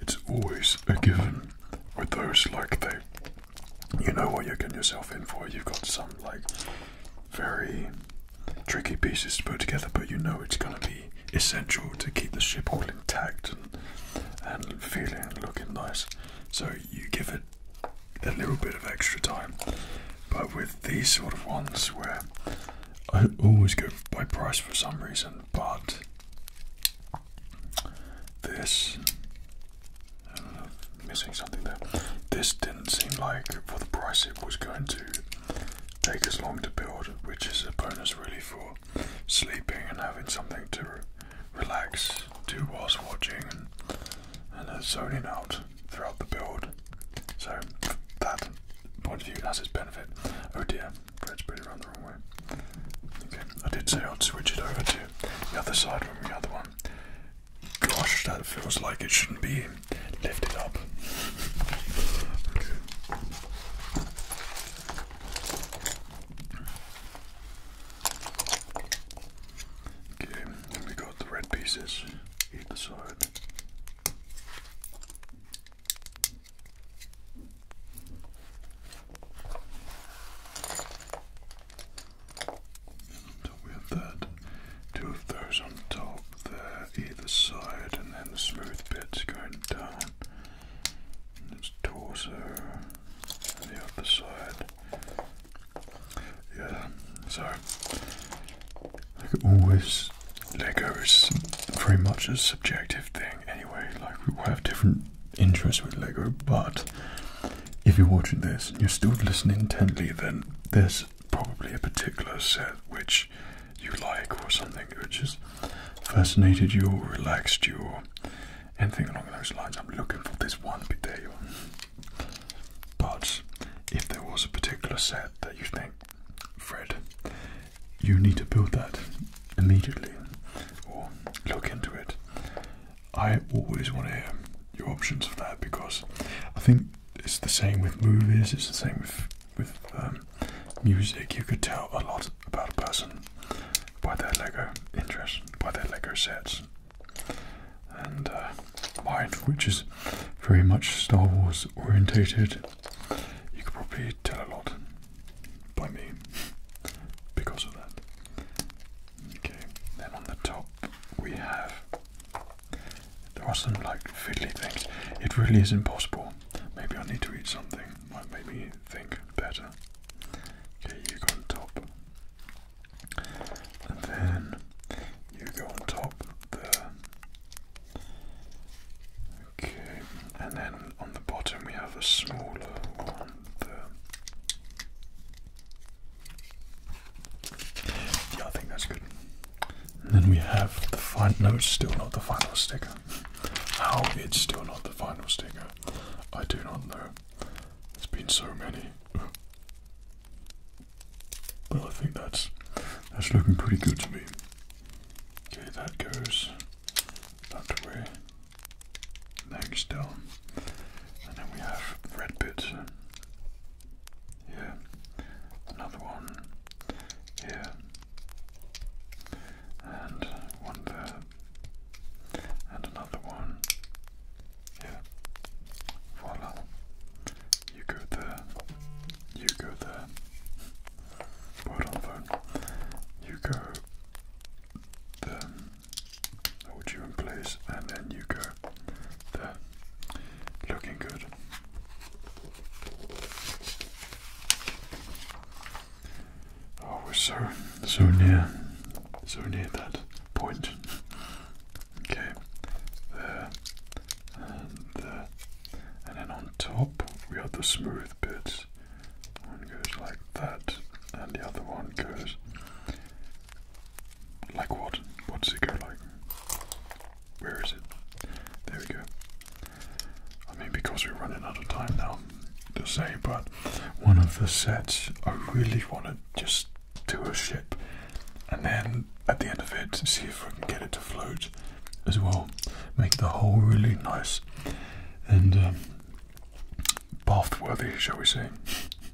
Speaker 1: it's always a given. With those, like they, you know what you're getting yourself in for. You've got some like very tricky pieces to put together, but you know it's going to be essential to keep the ship all intact and, and feeling looking nice. So you give it a little bit of extra time. But with these sort of ones where I always go by price for some reason, but this uh, missing something there. This didn't seem like for the price it was going to take as long to build, which is a bonus really for sleeping and having something to relax, do whilst watching and, and zoning out throughout the build. So that point of view has its benefit. Oh dear, let pretty put around the wrong way. Okay, I did say I'd switch it over to the other side from the other one. Gosh, that feels like it shouldn't be lifted up. okay. we got the red pieces either side. And we have that. Two of those on top there, either side, and then the smooth bits going down. its torso the other side. Yeah, so like always, Lego is very much a subjective thing. Anyway, like we all have different interests with Lego, but if you're watching this and you're still listening intently, then there's probably a particular set which you like or something which has fascinated you or relaxed you or anything along those lines. I'm looking for this one video. But if there was a particular set that you think, Fred, you need to build that immediately or look into it, I always want to hear your options for that because I think it's the same with movies, it's the same with, with um, music. You could tell a lot about a person by their Lego interest, by their Lego sets and uh, mine, which is very much Star Wars orientated. You could probably tell a lot by me because of that. Okay, then on the top we have. There are some like fiddly things. It really is impossible. Maybe I need to eat something. Might make me think better. Okay, you go on top and then you go on top Okay, and then on the bottom we have a smaller one Yeah, I think that's good. And then we have the final, no, it's still not the final sticker. How it's still not the final sticker, I do not know. There's been so many. But I think that's that's looking pretty good to me. Okay, that goes that way. Next down. And then we have red bit. Here. Another one. Here. And one there. And another one. Yeah. Voila. You go there. You go there. Word on phone. You go there. Hold you in place and then you go there. Looking good. Oh, we're so so near, so near that point. Okay, there and there. And then on top we have the smooth bits. One goes like that, and the other one goes like what? What's it go like? Where is it? There we go. I mean, because we're running out of time now to say, but one of the sets I really want to just to a ship, and then at the end of it, see if we can get it to float as well.
Speaker 2: Make the whole really nice and um, bath worthy, shall we say.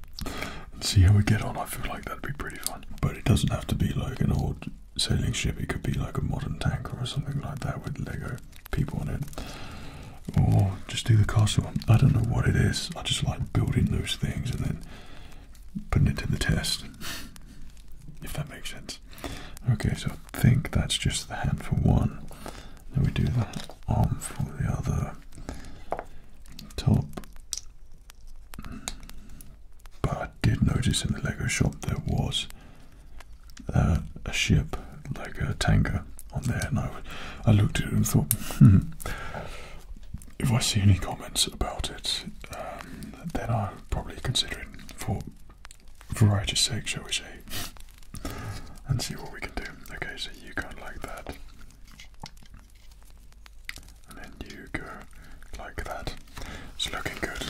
Speaker 1: see how we get on. I feel like that'd be pretty fun. But it doesn't have to be like an old sailing ship, it could be like a modern tanker or something like that with Lego people on it. Or just do the castle. I don't know what it is. I just like building those things and then putting it to the test, if that makes sense. Okay, so I think that's just the hand for one. Then we do the arm for the other. Top. But I did notice in the Lego shop there was a ship, like a tanker, on there, and I, I looked at it and thought, hmm, if I see any comments about it, um, then I'll probably consider it for variety's sake, shall we say, and see what we can do. Okay, so you go like that, and then you go like that. It's looking good,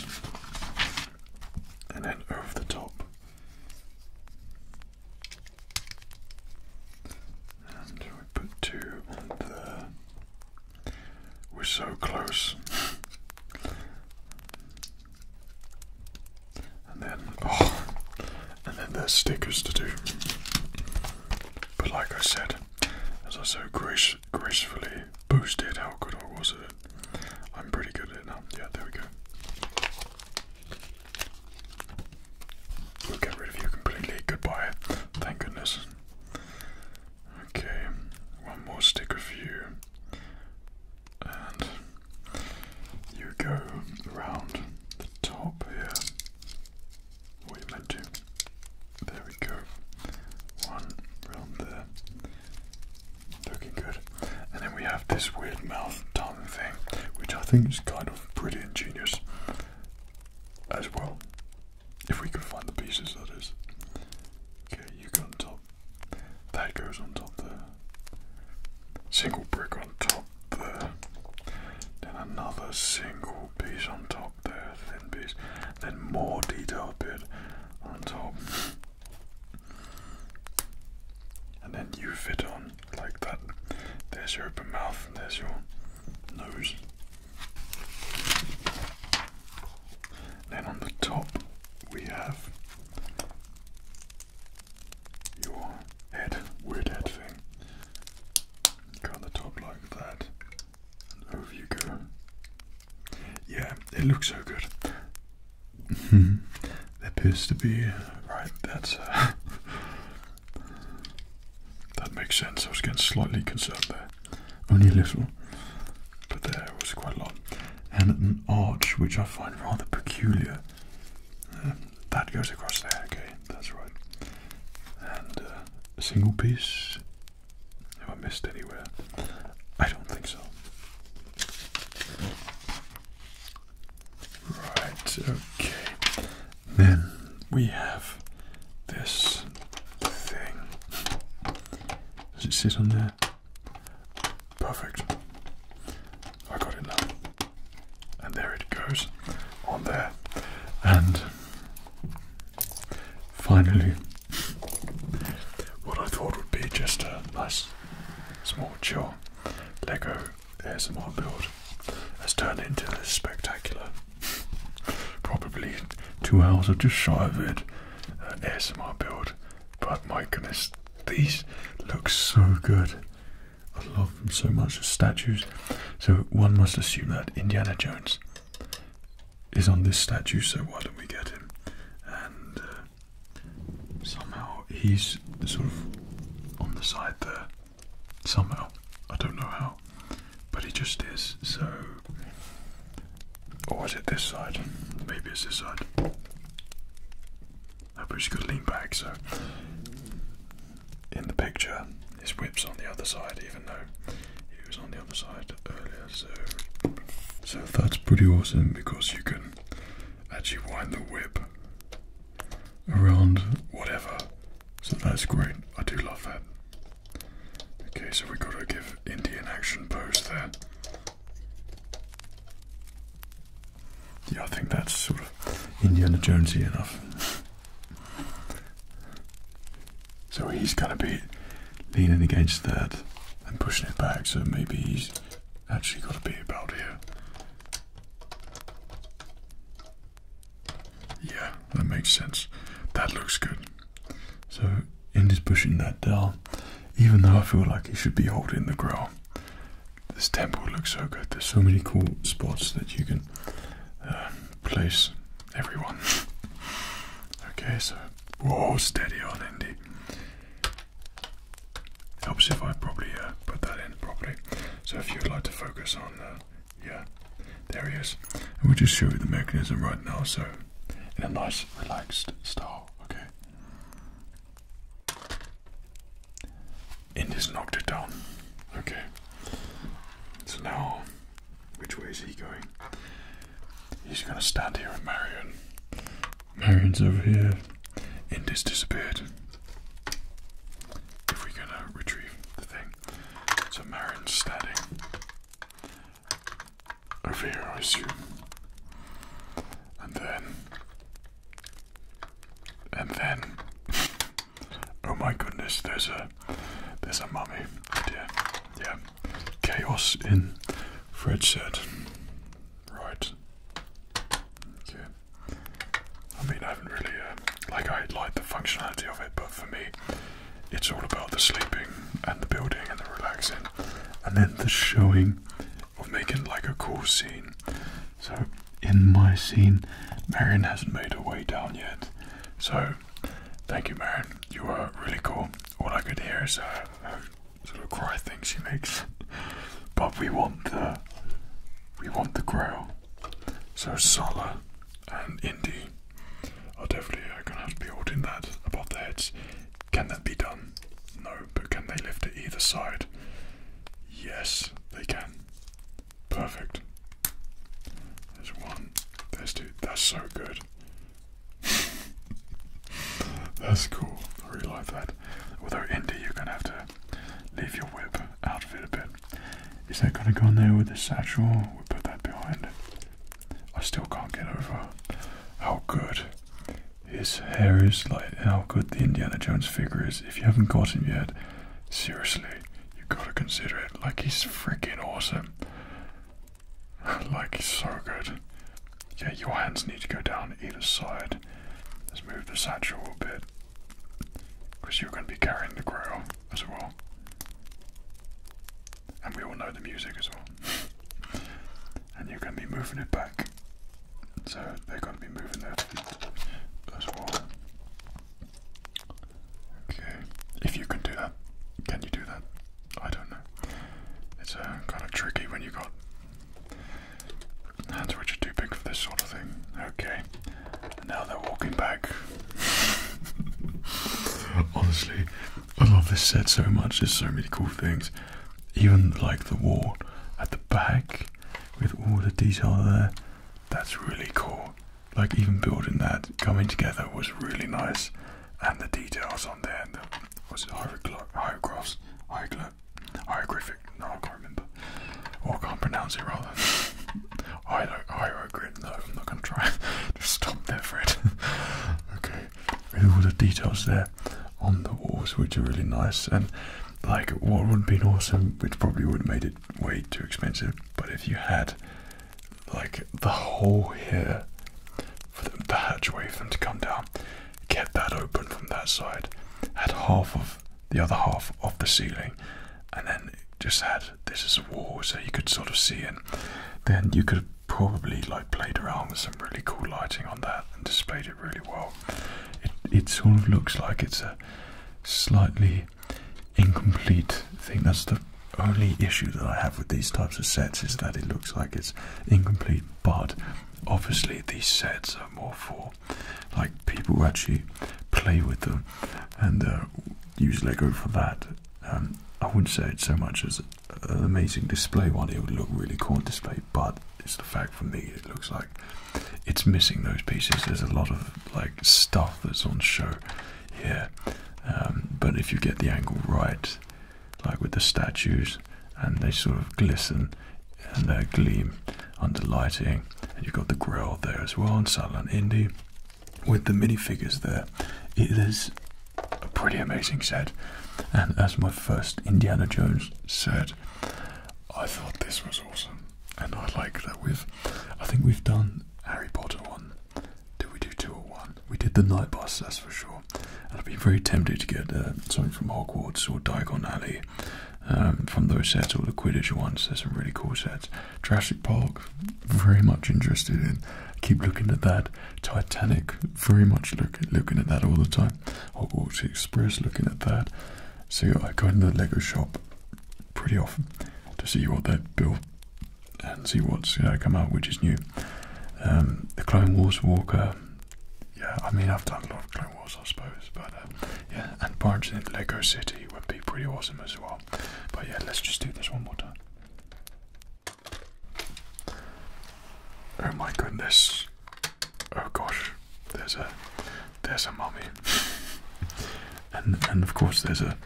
Speaker 1: and then over the top. And we put two on there. We're so close. and then, oh, and then there's stickers to do. But like I said, as I said gracefully boosted, how good I was at it. I'm pretty good at it now. Yeah, there we go. We'll get rid of you completely. Goodbye. Thank goodness. Okay, one more sticker for you. And you go around the top here. What you meant to. There we go. One round there. Looking good. And then we have this weird mouth tongue thing, which I think is kind of pretty ingenious as well. If we could find the pieces, that is. Okay, you go on top. That goes on top there. Single brick on top there. Then another single piece on top there, thin piece. Then more detail bit on top. And then you fit on like that. There's your open mouth and there's your nose. Then on the top we have your head, weird head thing. Go the top like that, and over you go. Yeah, it looks so good. there appears to be right. That's uh, that makes sense. I was getting slightly concerned there only a little, but there was quite a lot, and an arch which I find rather peculiar. Uh, that goes across there, okay, that's right. And uh, a single piece. Have I missed anywhere? I don't think so. Right, okay. Then we have this does it sit on there? Perfect. I got it now. And there it goes on there. And finally, what I thought would be just a nice, small, chill Lego ASMR build has turned into a spectacular probably two hours or just shy of it uh, ASMR build. But my goodness, these look so good. I love them so much as statues. So one must assume that Indiana Jones is on this statue, so why don't we get him? And uh, somehow he's sort of on the side there. Somehow. I don't know how but he just is. So, or is it this side? Maybe it's this side. I just got to lean back. So, in the picture, his whip's on the other side, even though he was on the other side earlier. So, so that's pretty awesome because you can actually wind the whip around whatever. So that's great. I do love that. Okay, so we gotta give Indian action pose there. Yeah, I think that's sort of Indian Jonesy enough. so he's gonna be leaning against that and pushing it back, so maybe he's actually gotta be about here. Yeah, that makes sense. That looks good. So Indy's pushing that down, even though I feel like he should be holding the growl. This temple looks so good. There's so many cool spots that you can um, place everyone. okay, so whoa, steady on Indy. Helps if I probably uh, put that in properly. So if you'd like to focus on, uh, yeah, there he is. And we'll just show you the mechanism right now. So in a nice, relaxed style, okay? Indy's knocked it down. Okay. So now, which way is he going? He's gonna stand here with Marion. Marion's over here. Indy's disappeared. If we're gonna retrieve the thing. So Marion's standing over here, I assume. And then. And then. oh my goodness, there's a. There's a mummy. Oh Yeah. Chaos in Fred said. Right. Okay. I mean, I
Speaker 2: haven't really. Uh, like, I like the functionality of it, but for me, it's all about the sleeping
Speaker 1: and the building and the relaxing, and then the showing of making like a cool scene. So in my scene, Marion hasn't made her way down yet. So thank you, Marion. You are really cool. All I could hear is a her sort of cry thing she makes. but we want the we want the grail. So Sala and Indy i definitely are uh, gonna have to be holding that above the heads. Can that be done? No, but can they lift it either side? Yes, they can. Perfect. There's one. There's two. That's so good. That's cool. I really like that. With Although, Indy, you're gonna have to leave your whip out of it a bit. Is that gonna go in there with the satchel? We'll put that behind. I still can't get over how good his hair is, like how good the Indiana Jones figure is. If you haven't got him yet, seriously, you've got to consider it. Like, he's freaking awesome. like, he's so good. Yeah, your hands need to go down either side. Let's move the satchel a bit. Because you're going to be carrying the grail as well. And we all know the music as well. and you're going to be moving it back. So they're going to be moving their feet as well. Okay, if you can do that, can you do that? I don't know. It's uh, kind of tricky when you got hands which are too big for this sort of thing. Okay, now they're walking back. Honestly, I love this set so much. There's so many cool things. Even like the wall at the back with all the detail there. That's really cool. Like even building that coming together was really nice. And the details on there. And it? Hieroglyphs. Hieroglyph. Hieroglyphic. No, I can't remember. Or can't pronounce it rather. I do regret. No, I'm not gonna try. Just stop there, Fred. okay with all the details there on the walls, which are really nice. And like, what would have been awesome, which probably would have made it way too expensive, but if you had like the hole here for the, hatchway for them to come down, get that open from that side, had half of the other half of the ceiling, and then just had this as a wall so you could sort of see in. Then you could probably like played around with some really cool lighting on that and displayed it really well. It it sort of looks like it's a slightly incomplete thing. That's the only issue that I have with these types of sets is that it looks like it's incomplete. But obviously these sets are more for like people who actually play with them and uh, use Lego for that. Um, I wouldn't say it so much as an amazing display one, it would look really cool on display, but it's the fact for me, it looks like it's missing those pieces. There's a lot of like stuff that's on show here, um, but if you get the angle right, like with the statues and they sort of glisten and they gleam under lighting, and you've got the grill there as well, and Silent Indy with the minifigures there. It is a pretty amazing set. And as my first Indiana Jones set, I thought this was awesome. And I like that we've, I think we've done Harry Potter one. Did we do two or one? We did the Night Bus, that's for sure. And I've been very tempted to get uh, something from Hogwarts or Diagon Alley um, from those sets or the Quidditch ones. There's some really cool sets. Jurassic Park, very much interested in. Keep looking at that. Titanic, very much looking at that all the time. Hogwarts Express, looking at that. So I go into the Lego shop pretty often to see what they built and see what's come out, which is new. Um, the Clone Wars Walker. Yeah, I mean I've done a lot of Clone Wars, I suppose, but uh, yeah, and Barnes in Lego City would be pretty awesome as well. But yeah, let's just do this one more time. Oh my goodness. Oh gosh. There's a there's a mummy. and and of course there's a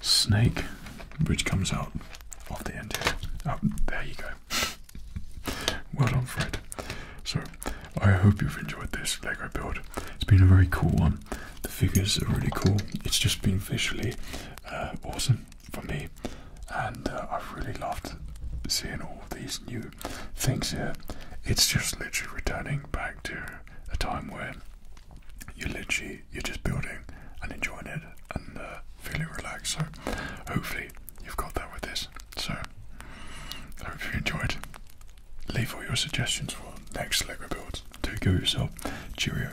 Speaker 1: snake which comes out of the end here. Oh, there you go. well done Fred. So I hope you've enjoyed this Lego build. It's been a very cool one. The figures are really cool. It's just been visually uh, awesome for me, and uh, I've really loved seeing all these new things here. It's just literally returning back to a time where you're literally you're just building and enjoying it and uh, feeling relaxed. So hopefully you've got that with this. So I hope you enjoyed. Leave all your suggestions for next Lego builds. Do go yourself. Cheerio.